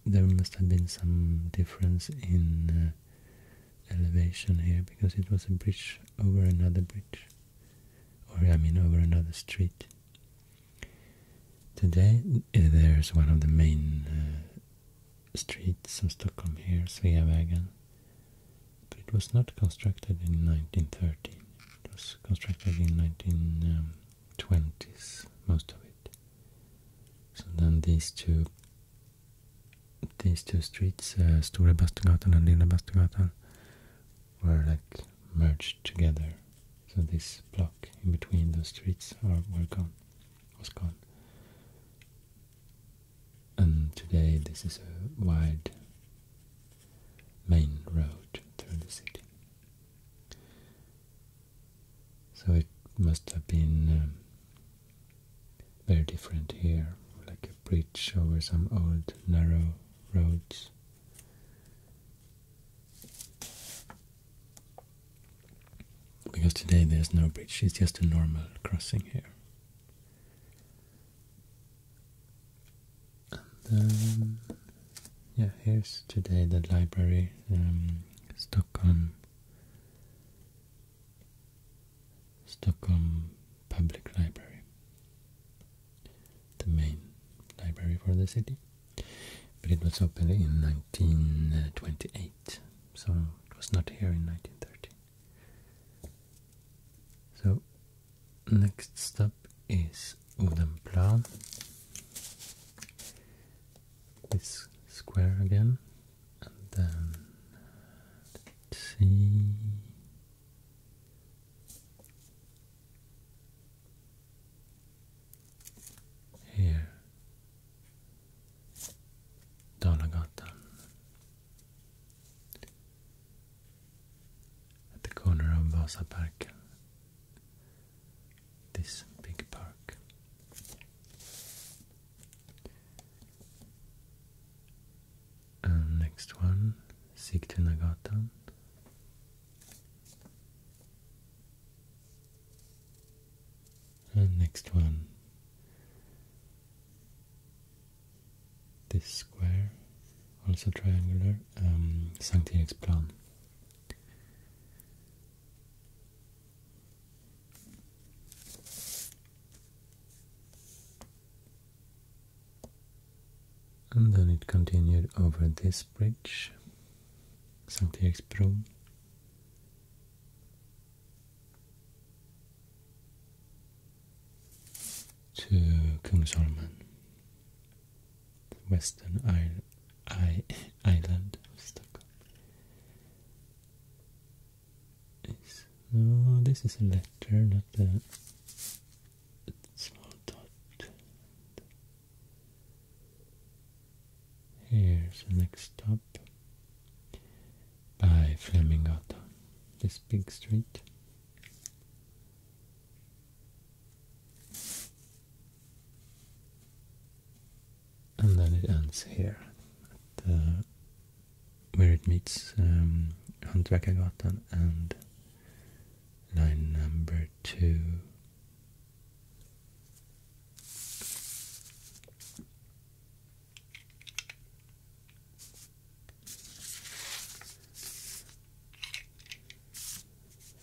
there must have been some difference in uh, elevation here because it was a bridge over another bridge, or I mean over another street. Today uh, there's one of the main uh, streets of Stockholm here, Sveavägen, but it was not constructed in 1913. It was constructed in 19. Um, 20s, most of it. So then these two these two streets, uh, Stora Bastugatan and Lilla Bastugatan, were like merged together. So this block in between those streets are, were gone, was gone. And today this is a wide main road through the city. So it must have been um, very different here, like a bridge over some old narrow roads. Because today there's no bridge, it's just a normal crossing here. Yeah, here's today the library, um, Stockholm, Stockholm Public Library, the main library for the city. But it was opened in 1928, so it was not here in 1930. So, next stop is wooden plow. This square again, and then let's see. Here, Dalagatan at the corner of Vasa Vasaparken this big park. And next one, Sigtuna Nagatan. And next one, this square, also triangular, um, Sankt Eriksplan. And then it continued over this bridge, Sankt Eriksbro. To Kungsholmen western I I island of Stockholm. Oh, this is a letter, not a small dot. Here's the next stop by Flemingatan, this big street and then it ends here uh, where it meets um, and line number two.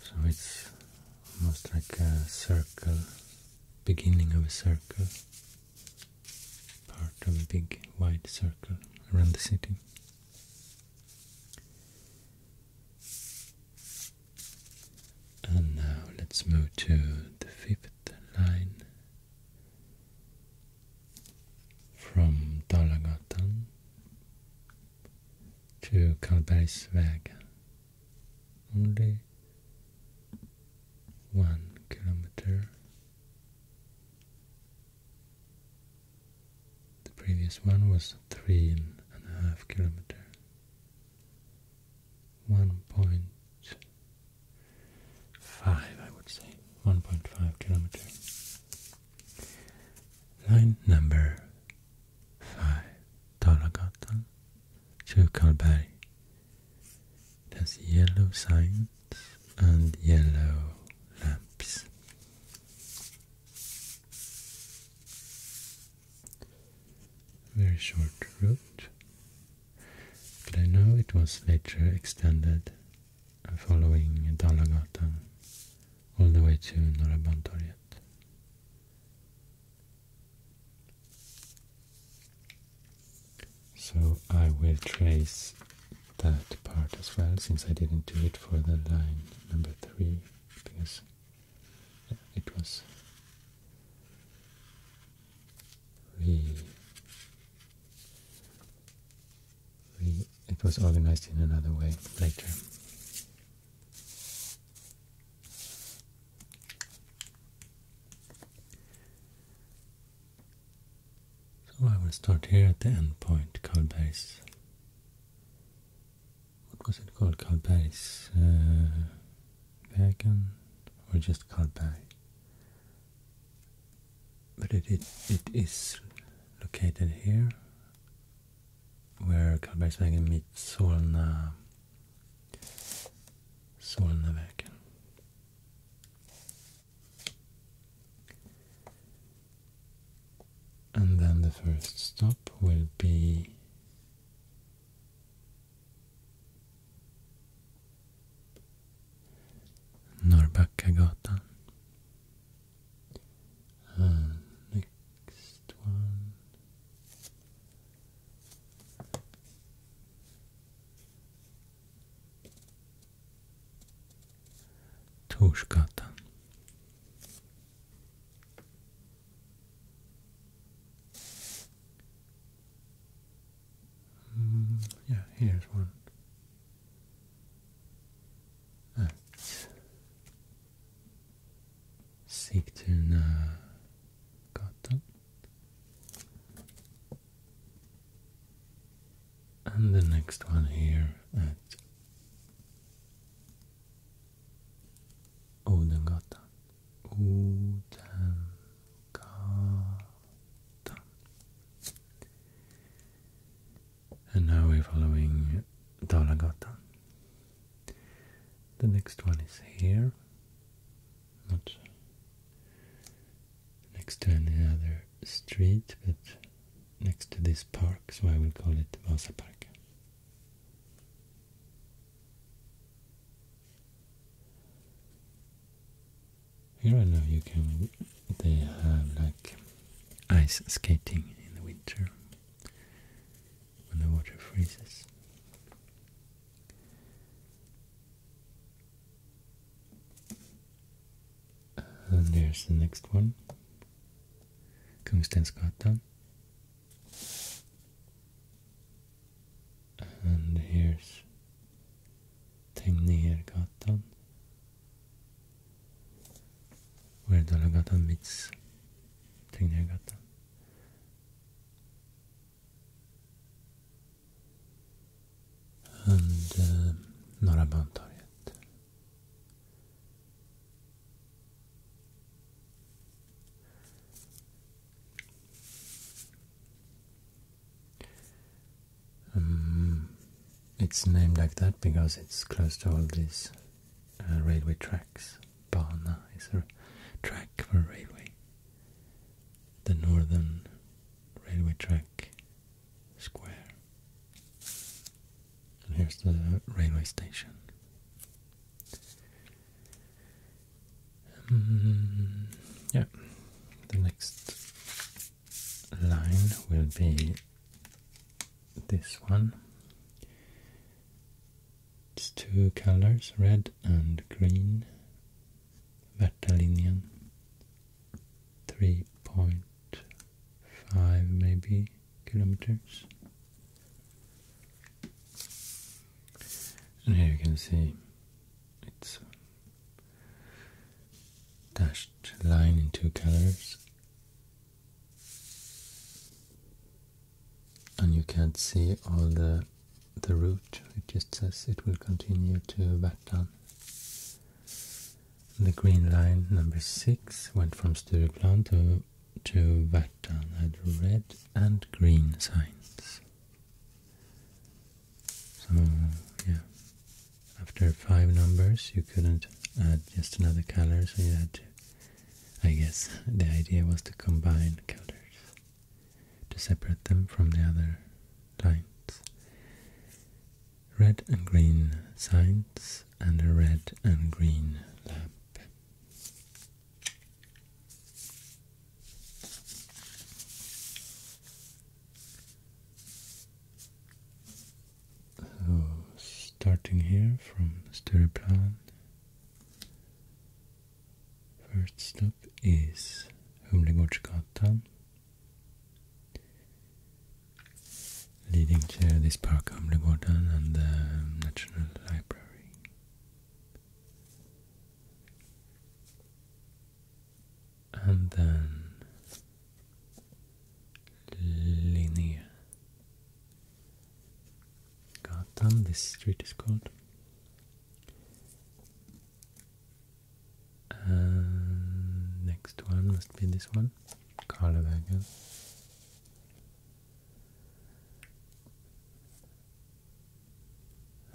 So it's almost like a circle, beginning of a circle, part of a big wide circle around the city. And now let's move to the fifth line from Dalagatan to Karlbergsväg, only one kilometer. The previous one was three and a half kilometers, 1.5 I would say 1.5 kilometers. line number 5. Dalagatan, Kyrkalberg. There's yellow signs and yellow lamps. Very short route, but I know it was later extended following Dalagatan all the way to Norra so I will trace that part as well, since I didn't do it for the line number three, because it was it was organized in another way later. So I will start here at the end point, Kalberg's. What was it called? Kalberg's uh, Wagon? Or just Kalberg? But it, it, it is located here, where Kalbergsvägen meets Solna Solnavägen. And then the first stop will be Norrbackagatan next one. Torskatan. Mm, yeah, here's one sikterna gatan and the next one here at Odengatan. Odengatan. And now we're following Dalagatan. The next one is here. Not next to any other street, but next to this park, so I will call it Vasa Park. Here I know you can, they have like ice skating in the winter when the water freezes. And there's the next one, Kungstensgatan. And here's Tegnérgatan, where Dalagatan meets Tegnérgatan and eh, um, Norra Bantorget. Um, it's named like that because it's close to all these uh, railway tracks. Bana is a track for railway. The northern railway track square. And here's the railway station. Hmm, yeah, the next line will be this one. It's two colors, red and green. Vertalinian. 3.5 maybe kilometers. And here you can see it's uh, dashed line in two colors and you can't see all the the route. It just says it will continue to Värtan. The green line number six went from Stureplan to to Värtan had red and green signs. So yeah, after five numbers you couldn't add just another color, so you had to. I guess the idea was to combine colors to separate them from the other lines. Red and green signs and a red and green lamp. starting here from Stureplan First stop is Humlegårdsgatan, leading to this park, Humlegården, and the National Library. And then Linnégatan, this street is called. And uh, next one must be this one, Karlavagen.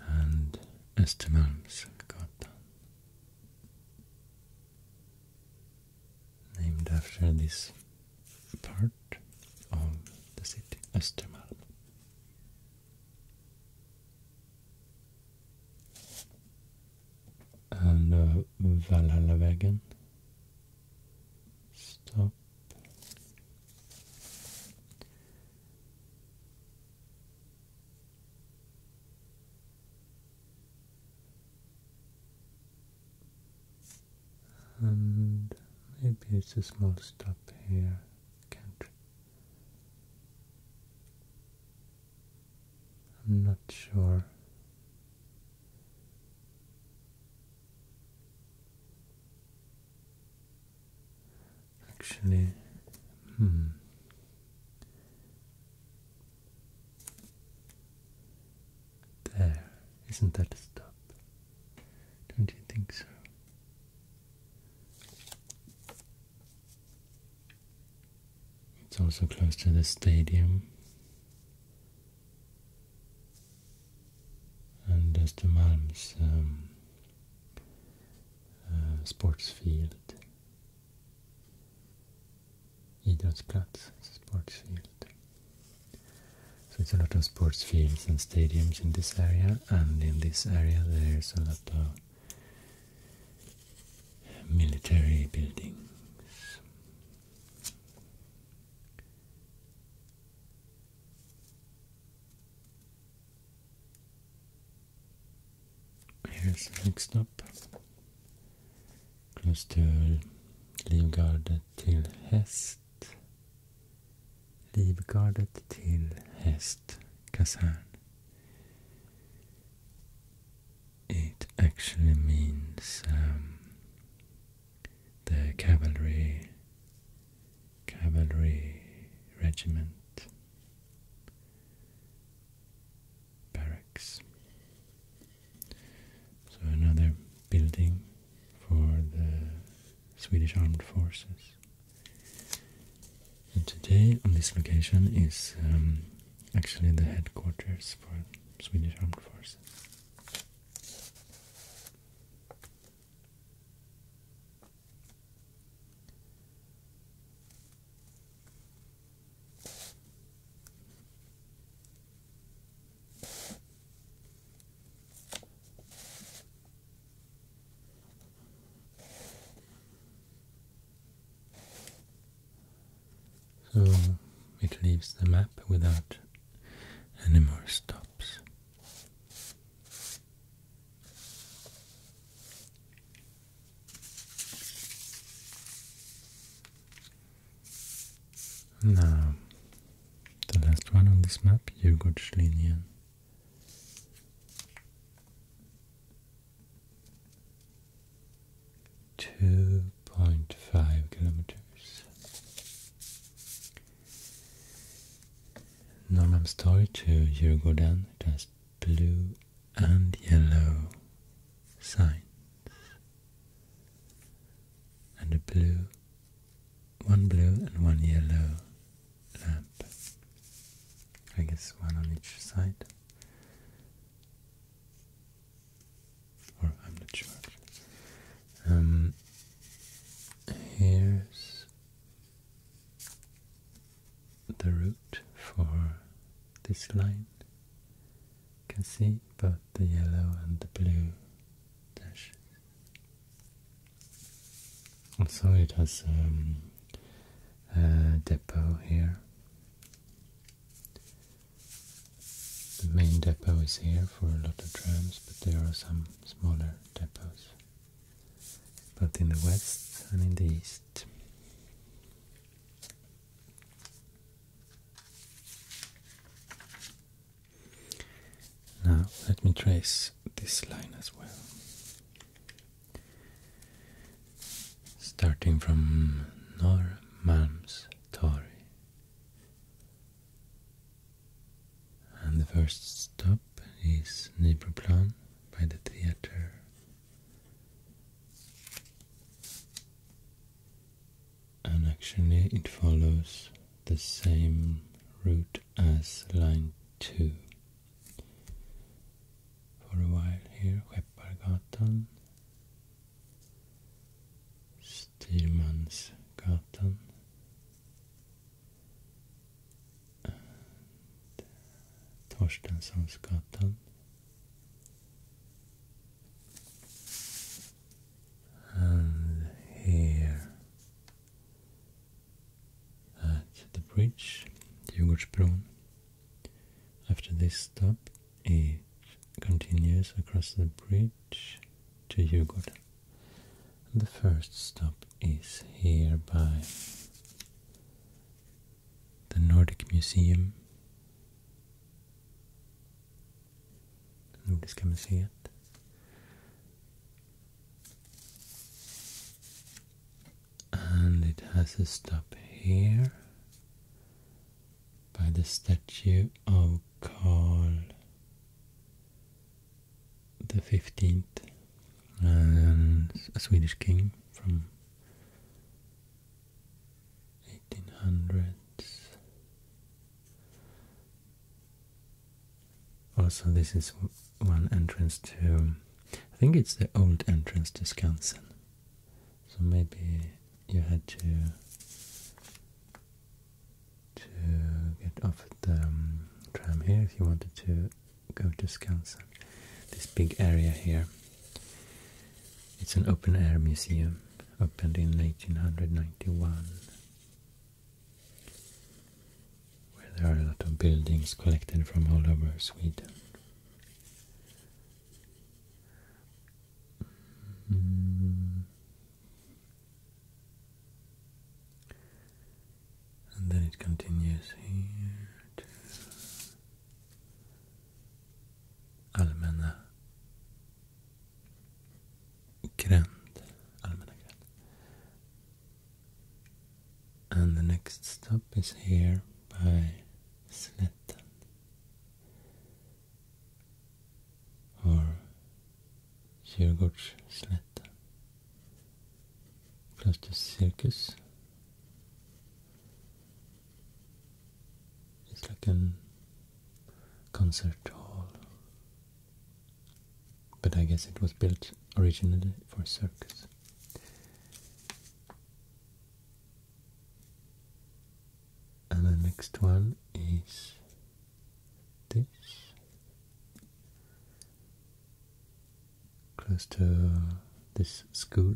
And Östermalmsgatan. Named after this part of the city, Östermalm and uh, stop and maybe it's a small stop here I'm not sure. Actually, hmm. There, isn't that a stop? Don't you think so? It's also close to the stadium. And Östermalm's um, uh, sports field. Idrottsplats sports field. So it's a lot of sports fields stadiums in this area, and in this area there's a lot of military buildings. Here's the next stop, close to Livgardet till Hest häst Livgardet till häst kasern. It actually means um, the cavalry cavalry regiment barracks. So another building for the Swedish Armed Forces. And today on this location is um, actually the headquarters for Swedish Armed Forces. So it leaves the map without any more stops. Now, the last one on this map, Yugurtlinien. Two point five kilometers. Norrmalmstorg to Djurgården it has blue and yellow signs and a blue one blue and one yellow nap. I guess one on each side. Or I'm not sure. Um, here's the root for this line. You can see both the yellow and the blue dashes. Also, it has um, a depot here. The main depot is here for a lot of trams, but there are some smaller depots, But in the west and in the east. Now, let me trace this line as well starting from Norrmalmstorg. And the first stop is Nybroplan by the theater. And actually it follows the same route as line 2 for a while here. Skeppargatan, Styrmansgatan and Torstenssonsgatan. And here at the bridge, Djurgårdsbron. After this stop, it continues across the bridge to Djurgården. The first stop is here by the Nordic Museum. Nordiska museet and it has a stop here by the statue of Karl, the 15th, a Swedish king from 1800s also, oh, this is one entrance to. I think it's the old entrance to Skansen. So maybe you had to to get off the um, tram here if you wanted to go to Skansen. This big area here. It's an open air museum, opened in 1891 where there are a lot of buildings collected from all over Sweden. Mm. And then it continues here to Allmänna gränd, and the next stop is here by Sletten or Djurgårdsslätten close to Circus it's like a concert hall but I guess it was built originally for circus and the next one is this close to this school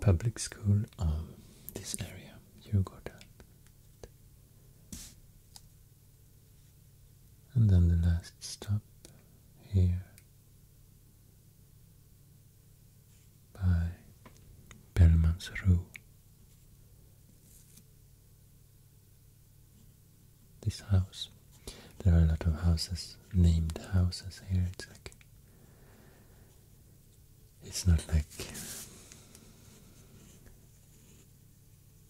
public school of this area you go down and then the last stop here by Rue. This house. There are a lot of houses, named houses here. It's like it's not like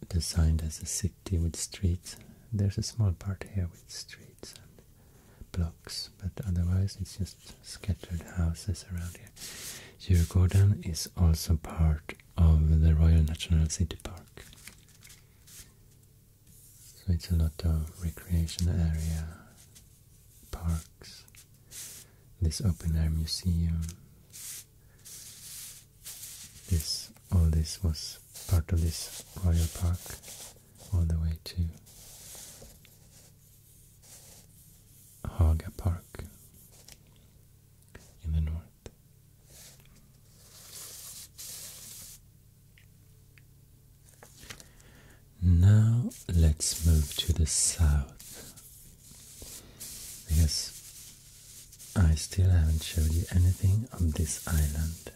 designed as a city with streets. There's a small part here with streets and blocks, but otherwise it's just scattered houses around here. Djurgården is also part of the Royal National City Park. So it's a lot of recreation area, parks, this open air museum, this, all this was part of this royal park, all the way to Haga Park in the north. Now let's move to the south because I still haven't showed you anything of this island,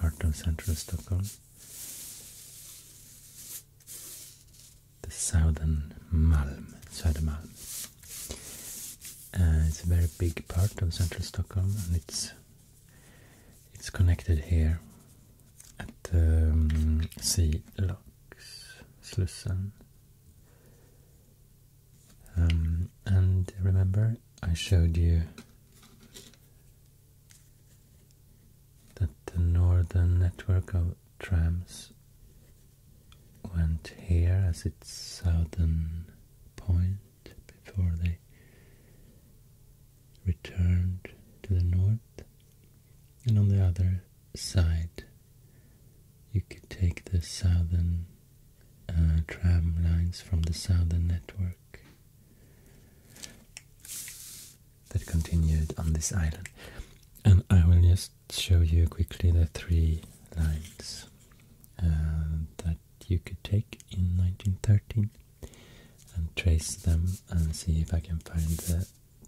part of central Stockholm. The southern Malm, Södermalm. Uh, it's a very big part of central Stockholm and it's it's connected here at the um, sea locks, Slussen um, and remember, I showed you that the northern network of trams went here as its southern point before they returned to the north. And on the other side, you could take the southern uh, tram lines from the southern network that continued on this island. And I will just show you quickly the three lines uh, that you could take in 1913 and trace them and see if I can find the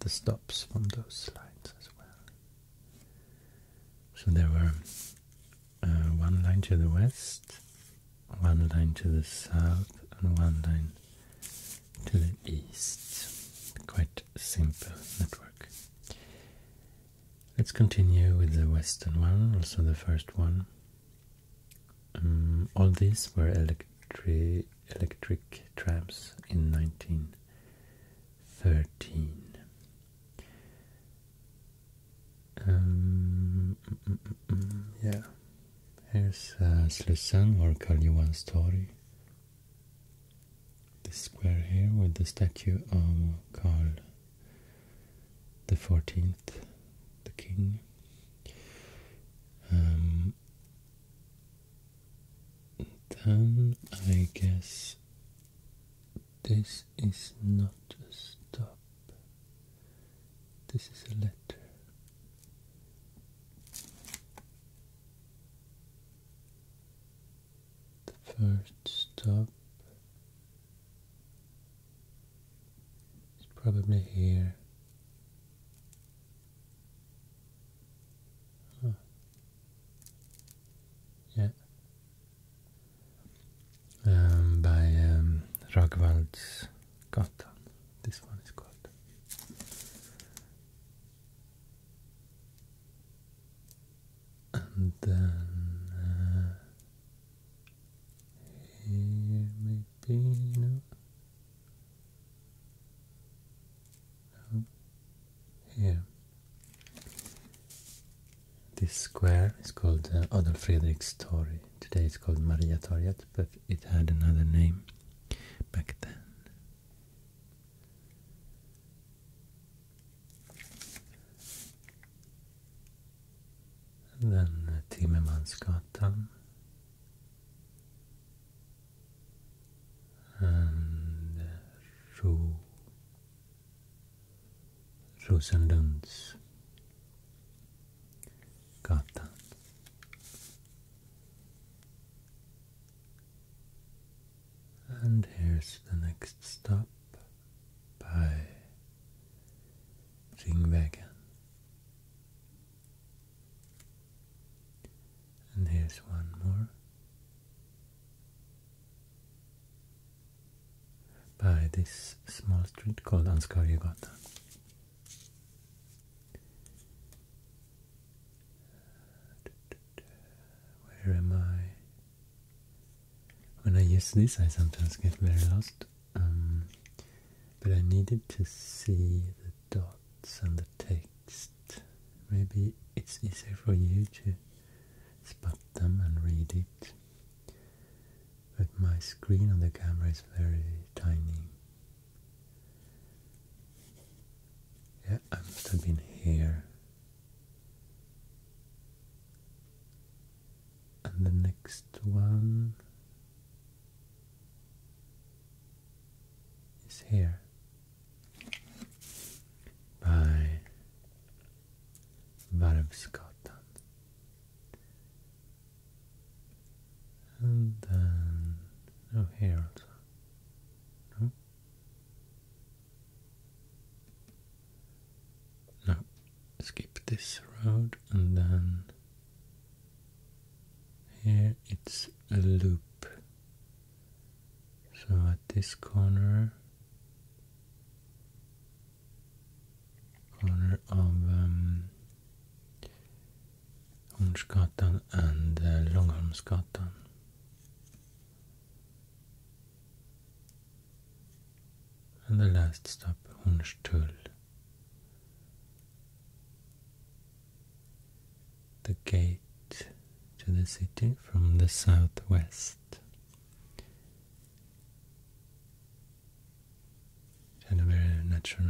stops from those lines as well. So there were uh, one line to the west, one line to the south, and one line to the east. Quite simple network. Let's continue with the western one, also the first one. Um, all these were electric trams in 1913 um, yeah. Here's a uh, Slusan or Karl Johan's story. This square here with the statue of Karl the 14th, the king. Um, then I guess this is not a stop. This is a letter. The first stop is probably here. Ah. Yeah, um, by um, Ragvaldsgatan. This one is called. And then uh, here maybe no. no. Oh, here. This square is called uh, Adolf Fredriks Today it's called Maria Toriet, but it had another name back then. then uh, And uh, Rosenlunds gatan. And here's the next stop by Ringvägen. And here's one more by this small street called Anskaryagata. Where am I? When I use this, I sometimes get very lost. Um, but I needed to see the dots and the text. Maybe it's easier for you to spot them and read it but my screen on the camera is very tiny. Yeah, I must have been here. And the next one is here by but Varv Scotland. And then, oh here also, no? skip this road and then here it's a loop. So at this corner corner of um, and uh, And the last stop, Hornstull. The gate to the city from the southwest. And a very natural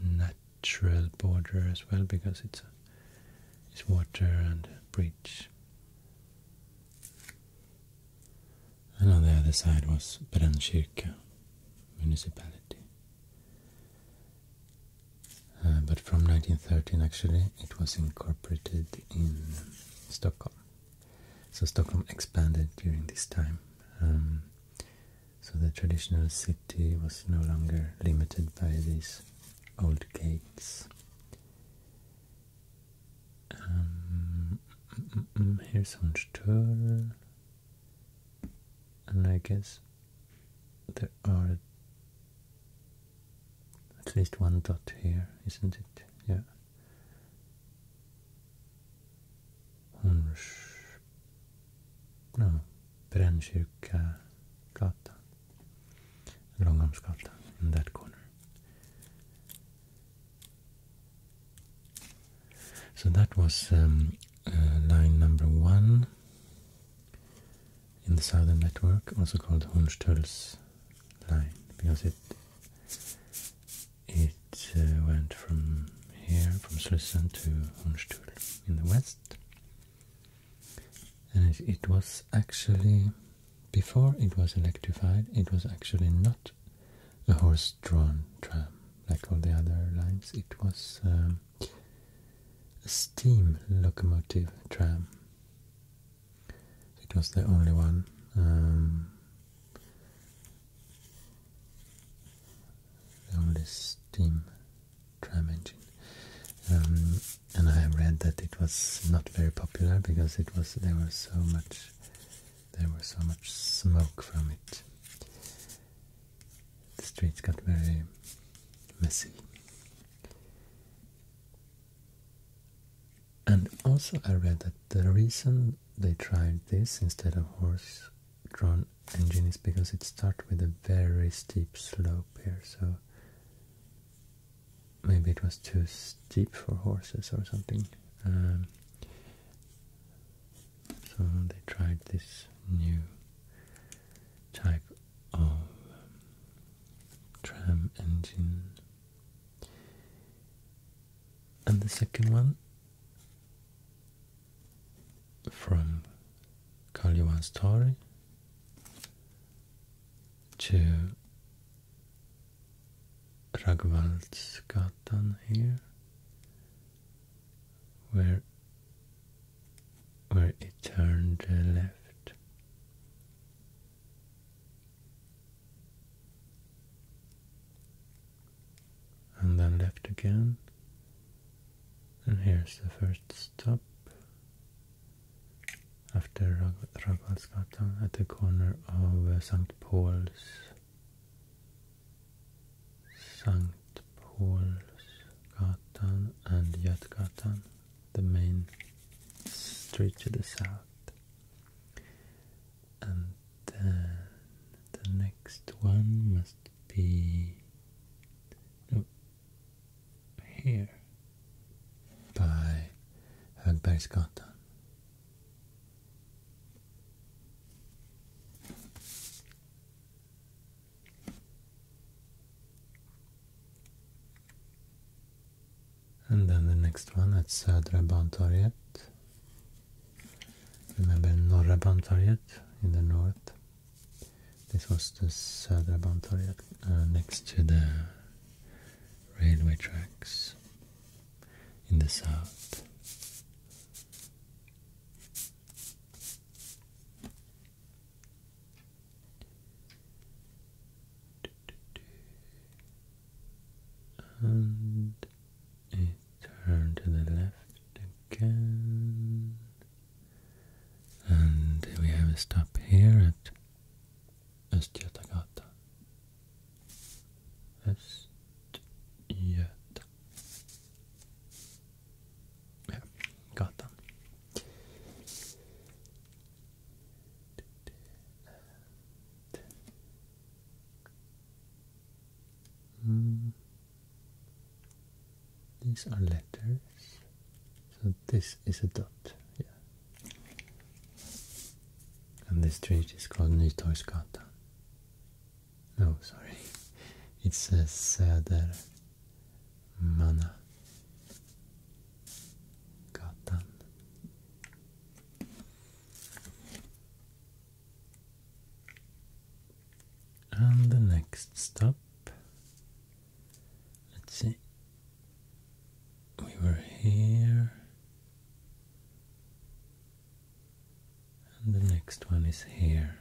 natural border as well because it's a, it's water and bridge. And on the other side was Brännkyrka municipality. Uh, but from 1913 actually it was incorporated in Stockholm. So Stockholm expanded during this time. Um, so the traditional city was no longer limited by these old gates. Um, here's Hornstull. And I guess there are at least one dot here, isn't it? Yeah. So that was um, uh, line number one in the Southern Network, also called Hornsturls line, because it it uh, went from here, from Slussen to Hornstuhl in the west. And it, was actually, before it was electrified, it was actually not a horse-drawn tram like all the other lines. It was um, a steam locomotive tram it was the only one. Um, the only steam tram engine. Um, and I read that it was not very popular because it was there was so much there was so much smoke from it. The streets got very messy. And also, I read that the reason they tried this instead of horse-drawn engine is because it starts with a very steep slope here, so maybe it was too steep for horses or something. Um, so they tried this new type of um, tram engine and the second one from Karl Johan Story to Ragvaldsgatan here where where it turned left and then left again and here's the first stop after Ragvallsgatan at the corner of uh, St. Paul's St. Paul's Gatan and Götgatan the main street to the south and then the next one must be here by Högbergsgatan. And then the next one at Södra Bantorget. Remember Norra in the north? This was the Södra Bantorget uh, next to the railway tracks in the south. And a turn to the left again. And we have a stop here at Östgötagatan. Östgöta. Ja, gatan. Hmm. These are letters. So this is a dot. Yeah. And this street is called Nytorgsgatan. Oh, sorry. It says uh, Södermanna. Gatan. And the next stop, let's see, we were here, and the next one is here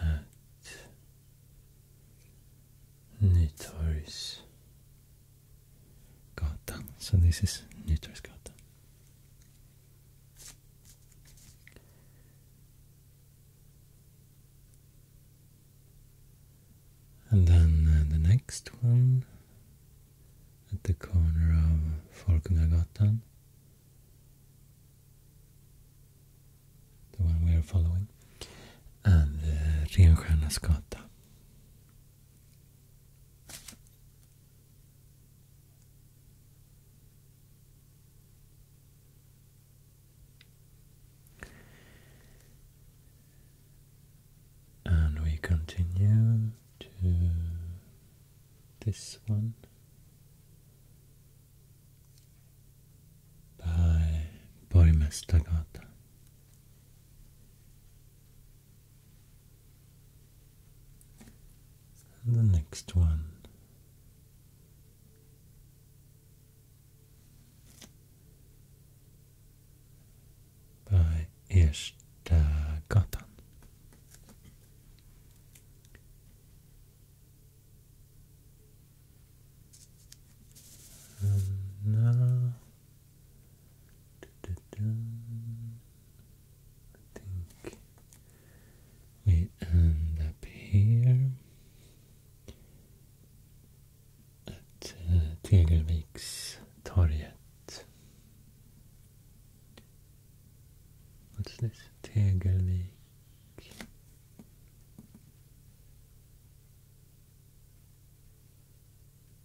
at Nytorgs Gatan. So this is Nytorgsgatan. And then uh, the next one at the corner of Folkungagatan, the one we are following, and uh, Renstjärnas and we continue to this one by Borimestagata. And the next one. By Erstagatan. And now Da, da, da. I think. Wait, and up here. At uh, Tegelvikstorget. What's this? Tegelvik.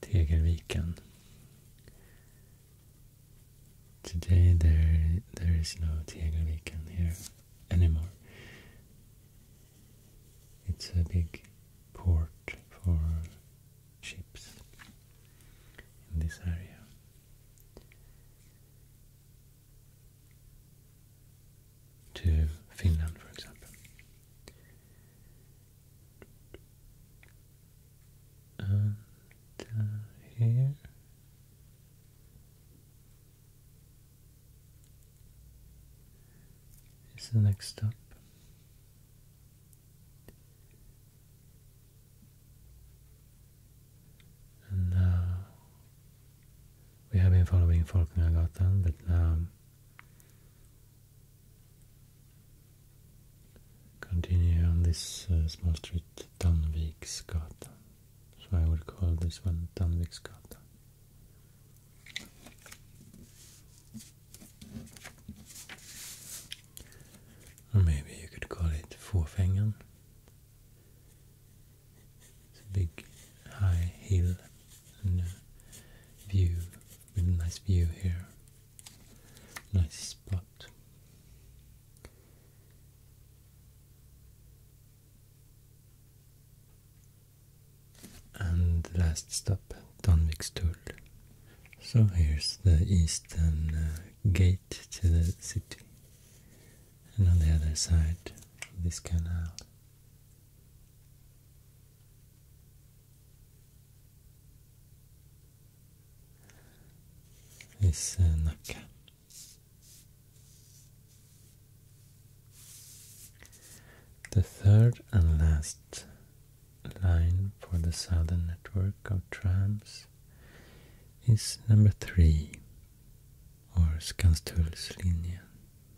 Tegelviken. Today there there is no Tegelviken here anymore. It's a big port for ships in this area. To Finland, for example and here is the next stop. And now we have been following Folknagatan, but now Continue on this uh, small street, Danviksgatan. So I will call this one Danviksgatan. Or maybe you could call it Fåfängan. It's a big high hill and a uh, view with a nice view here Nice spot. And last stop, Danvikstull. So here's the eastern uh, gate to the city. And on the other side, this canal is uh, The third and last line for the southern network of trams is number three, or Skanstullslinjen,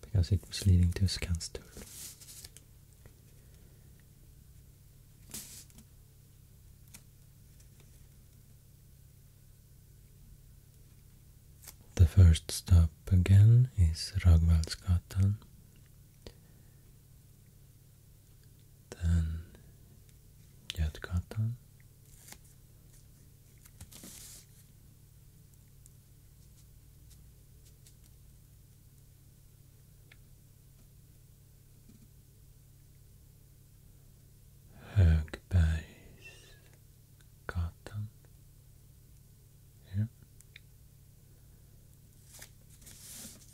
because it was leading to Skanstull. The first stop again is Ragvalsgatan. Then Götgatan. Högbergsgatan here.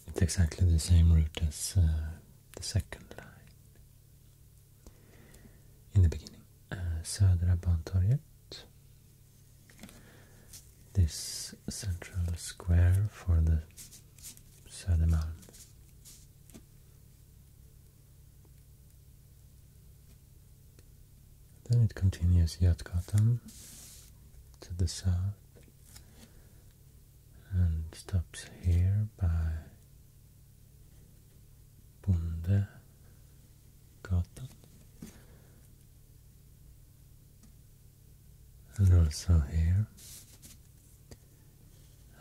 It's exactly the same route as uh, the second line in the beginning. Uh, Södra This central square for the Södermalm then it continues Yatgata to the south and stops here by Gata and also here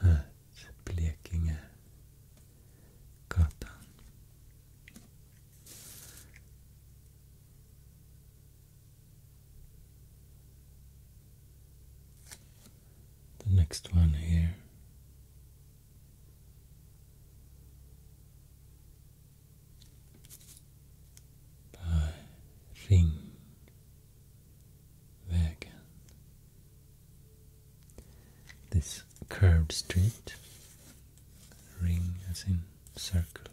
at Blekinge Gatan. The next one here. by Ring there This curved street, ring as in circle.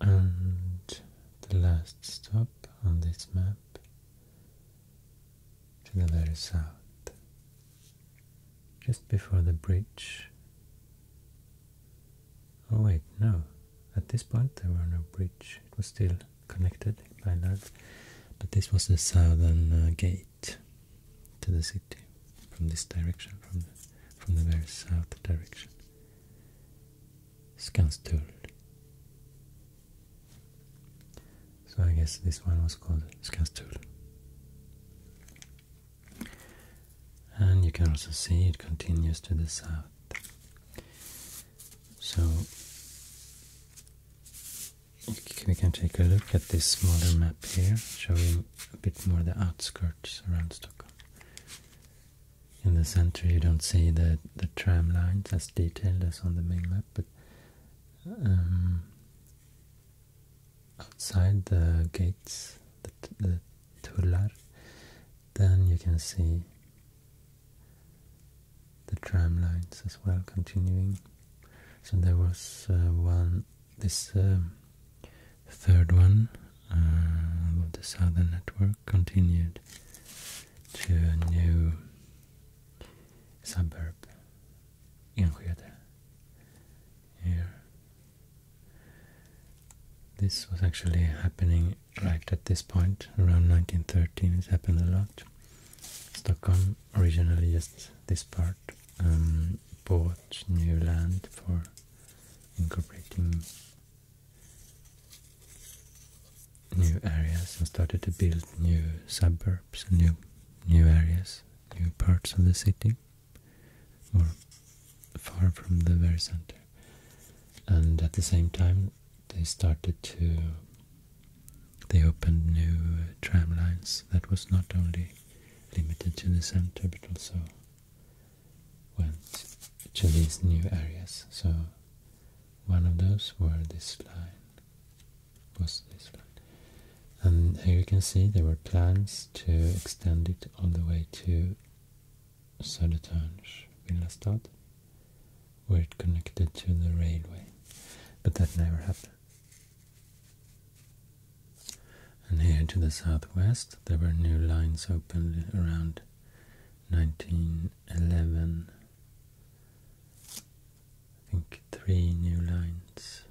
And the last stop on this map to the very south just before the bridge. Oh wait, no. At this point there were no bridge. It was still connected by that. But this was the southern uh, gate to the city from this direction, from the, from the very south direction. Skanstull. So I guess this one was called Skanstull. And you can also see it continues to the south. So we can take a look at this smaller map here, showing a bit more the outskirts around Stockholm. In the center you don't see the, tram lines as detailed as on the main map, but um, outside the gates, the, the then you can see the tram lines as well continuing. So there was uh, one, this uh, third one uh, of the southern network continued to a new suburb Enskede here. This was actually happening right at this point, around 1913. It's happened a lot. Stockholm originally just this part um, bought new land for incorporating new areas and started to build new suburb suburbs, new, new areas, new parts of the city, or far from the very center. And at the same time, they started to they opened new tram lines that was not only limited to the center but also went to these new areas. So one of those were this line was this line. And here you can see there were plans to extend it all the way to Södertörns Villastad, where it connected to the railway, but that never happened. And here to the southwest, there were new lines opened around 1911. I think three new lines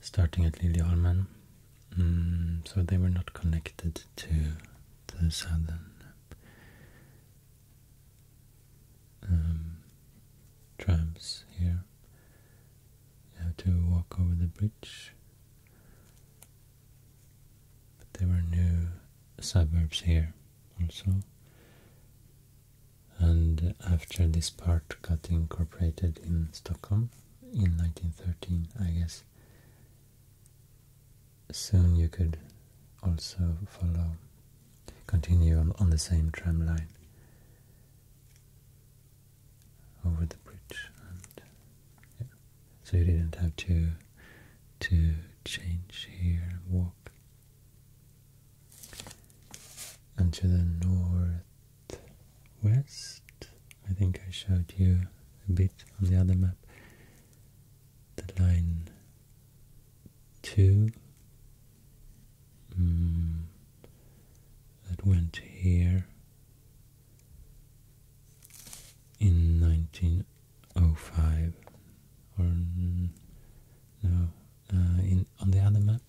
starting at Lilleholmen. Mm, so they were not connected to the southern um, trams here. You have to walk over the bridge. But there were new suburbs here also and after this part got incorporated in Stockholm in 1913, I guess. Soon you could also follow, continue on, on the same tram line over the bridge, and so you didn't have to to change here, and walk, and to the north west. I think I showed you a bit of the other map. The line 2 hmm. that went here in 1905 or hmm, no uh, in on the other map,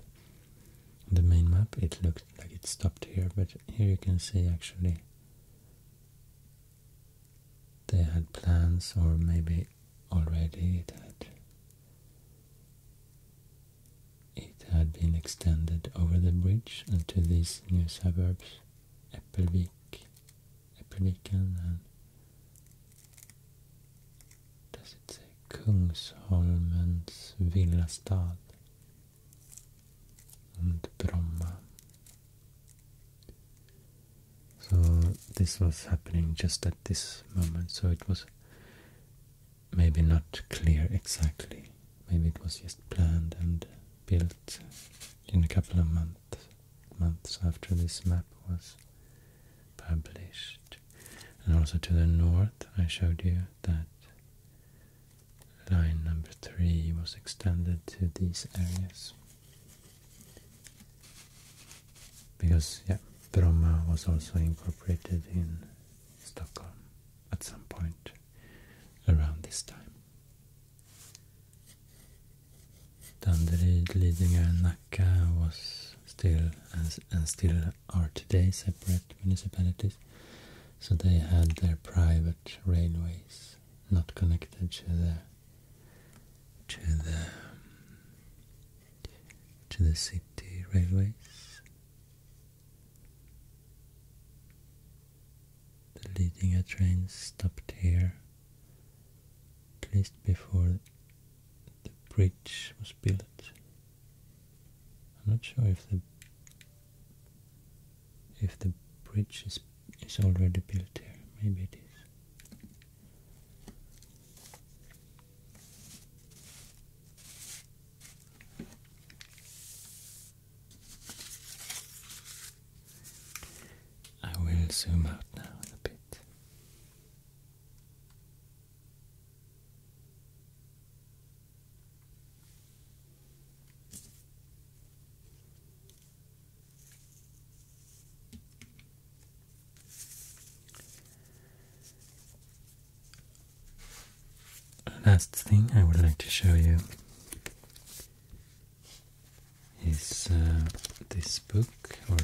the main map, it looked like it stopped here, but here you can see actually they had plans, or maybe already it had it had been extended over the bridge and to these new suburbs, Eppelvik, Eppelviken and does it say Kungsholmens villastad? And So this was happening just at this moment, so it was maybe not clear exactly. Maybe it was just planned and built in a couple of months months after this map was published. And also to the north, I showed you that line number three was extended to these areas. Because, yeah, Bromma was also incorporated in Stockholm at some point around this time. Danderyd, Lidingö and Nacka was still, and still are today separate municipalities. So they had their private railways, not connected to the to the to the city railways. The leading train stopped here, at least before the bridge was built. I'm not sure if the if the bridge is is already built here. Maybe it is. I will zoom out now a bit. Last thing I would like to show you is uh, this book or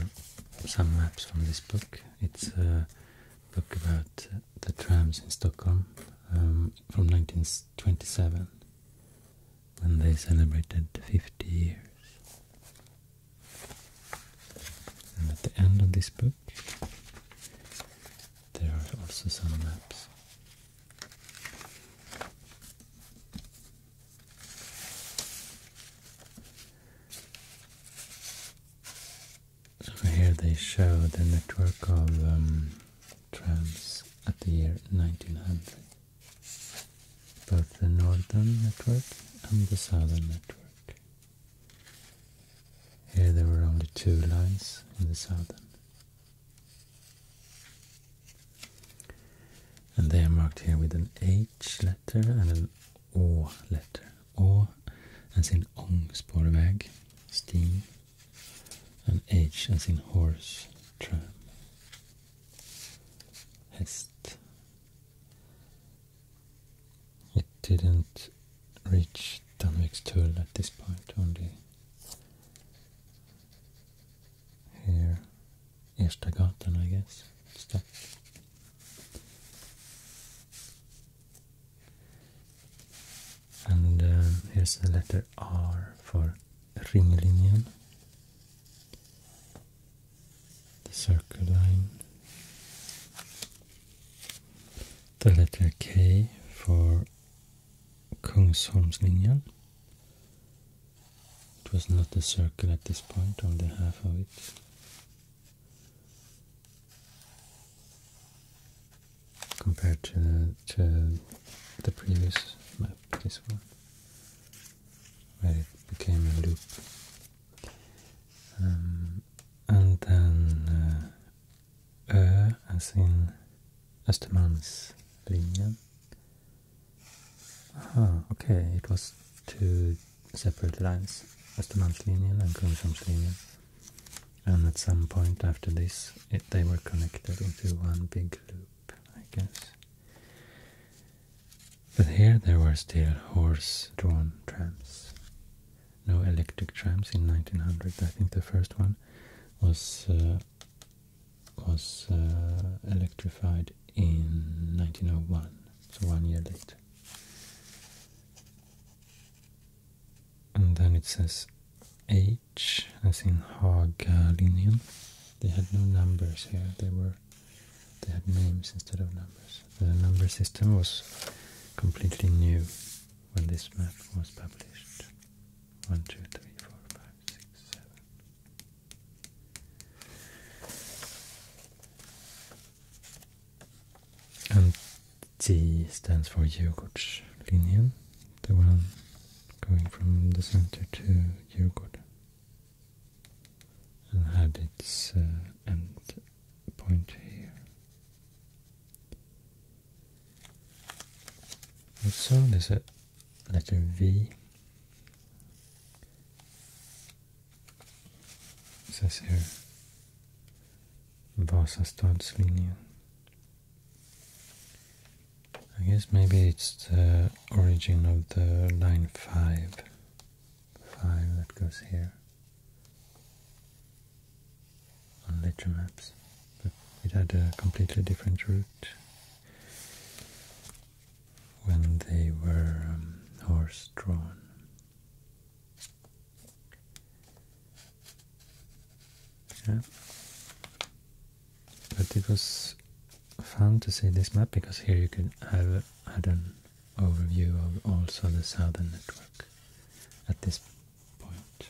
some maps from this book. It's uh, book about uh, the trams in Stockholm um, from 1927 when they celebrated 50 years. And at the end of this book there are also some maps. So here they show the network of um, trams at the year 1900. Both the northern network and the southern network. Here there were only two lines in the southern. And they are marked here with an H letter and an O letter. Or as in ong spårväg, steam, and H as in horse, tram. Hest. It didn't reach Danvikstull at this point, only here, Erstagatan, I guess, stop. And uh, here's the letter R for ringlinjen, the circle line. The letter K for Kungsholmslinjen. It was not a circle at this point, only half of it compared to, to the previous map, this one, where it became a loop. Um, and then uh, as in Östermalmslinjen. Aha, okay, it was two separate lines, Östermalmslinjen and Kungsholmslinjen and at some point after this they were connected into one big loop, I guess. But here there were still horse-drawn trams. No electric trams in 1900. I think the first one was uh, was uh, electrified in 1901, so one year later and then it says H, as in Hagalinien. They had no numbers here. They were they had names instead of numbers. The number system was completely new when this map was published. One, two, three, four, five, six, seven. And T stands for Djurgårdslinjen, the one going from the center to Djurgård. And had its uh, end point here. Also, is it? letter V. It says here Vasastadslinjen. I guess maybe it's the origin of the line 5. 5 that goes here on Ledger But it had a completely different route when they were um, horse drawn. Yeah. But it was fun to see this map because here you could have had an overview of also the southern network at this point.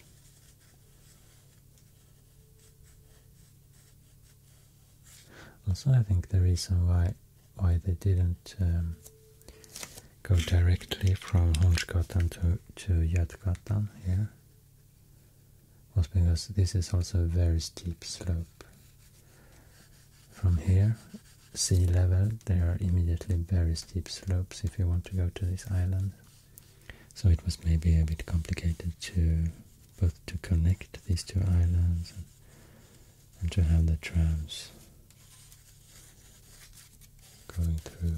Also, I think the reason why why they didn't um, go directly from Honshkotan to, to Yadgatan here was because this is also a very steep slope. From here, sea level, there are immediately very steep slopes if you want to go to this island. So it was maybe a bit complicated to both to connect these two islands and, and to have the trams going through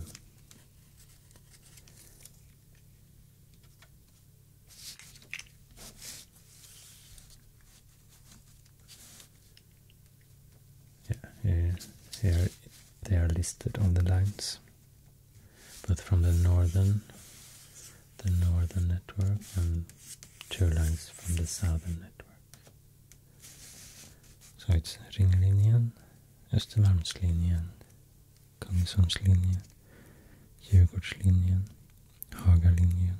yeah, uh, here they are listed on the lines, but from the northern, the northern network, and two lines from the southern network. So it's Ringlinjen, Östermalmslinjen, Kungsholmslinjen, Djurgårdslinjen, Hagalinjen,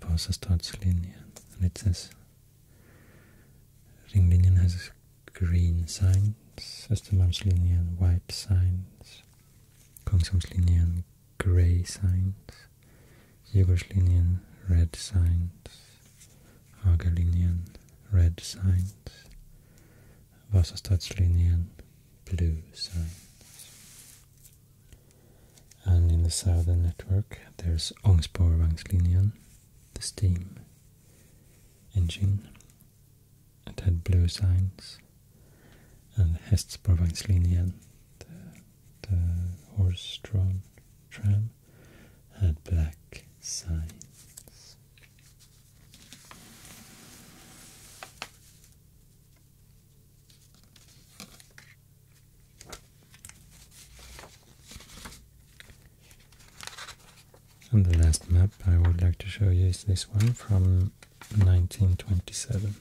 Vasastadslinjen. And it says Ringlinjen has green signs, Östermalmslinjen white signs, Kungsholmslinjen grey signs, Djurgårdslinjen red signs, Hagalinien, red signs, Vasastadslinien, blue signs. And in the southern network there's Ångsborvangslinien, the steam engine. It had blue signs. And Hästspårvagnslinjen, the, the horse-drawn tram, had black signs. And the last map I would like to show you is this one from 1927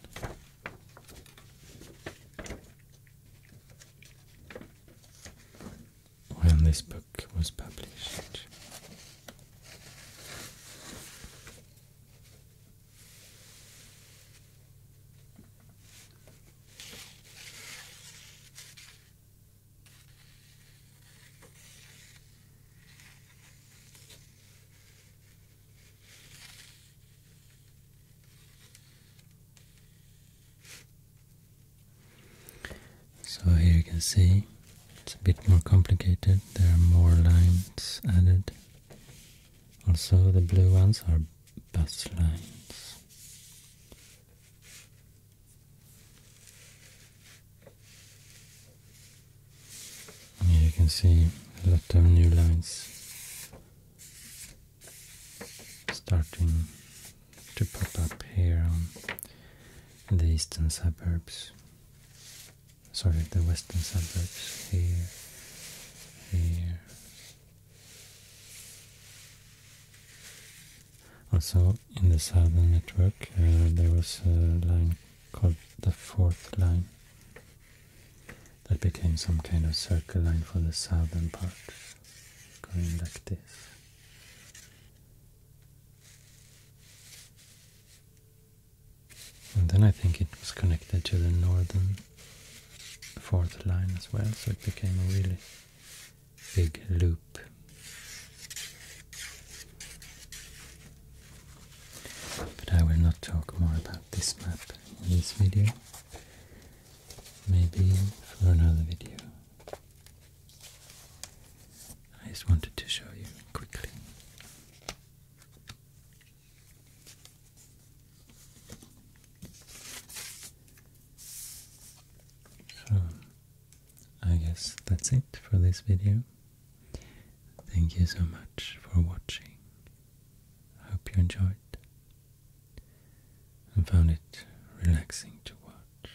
when this book was published. So here you can see it's a bit more complicated. There are more lines added. Also the blue ones are bus lines. Here you can see a lot of new lines starting to pop up here on the eastern suburbs. Sorry, the western suburbs. Here, here. Also, in the southern network, uh, there was a line called the fourth line that became some kind of circle line for the southern part, going like this. And then I think it was connected to the northern fourth line as well, so it became a really big loop. But I will not talk more about this map in this video. Maybe for another video. I just wanted to show you quickly. So, I guess that's it for this video. Thank you so much for watching. I hope you enjoyed and found it relaxing to watch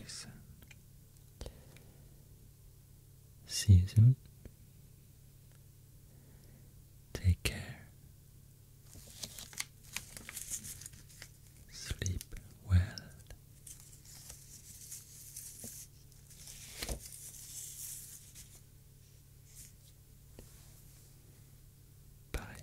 listen. See you soon. Take care. Sleep well. Bye.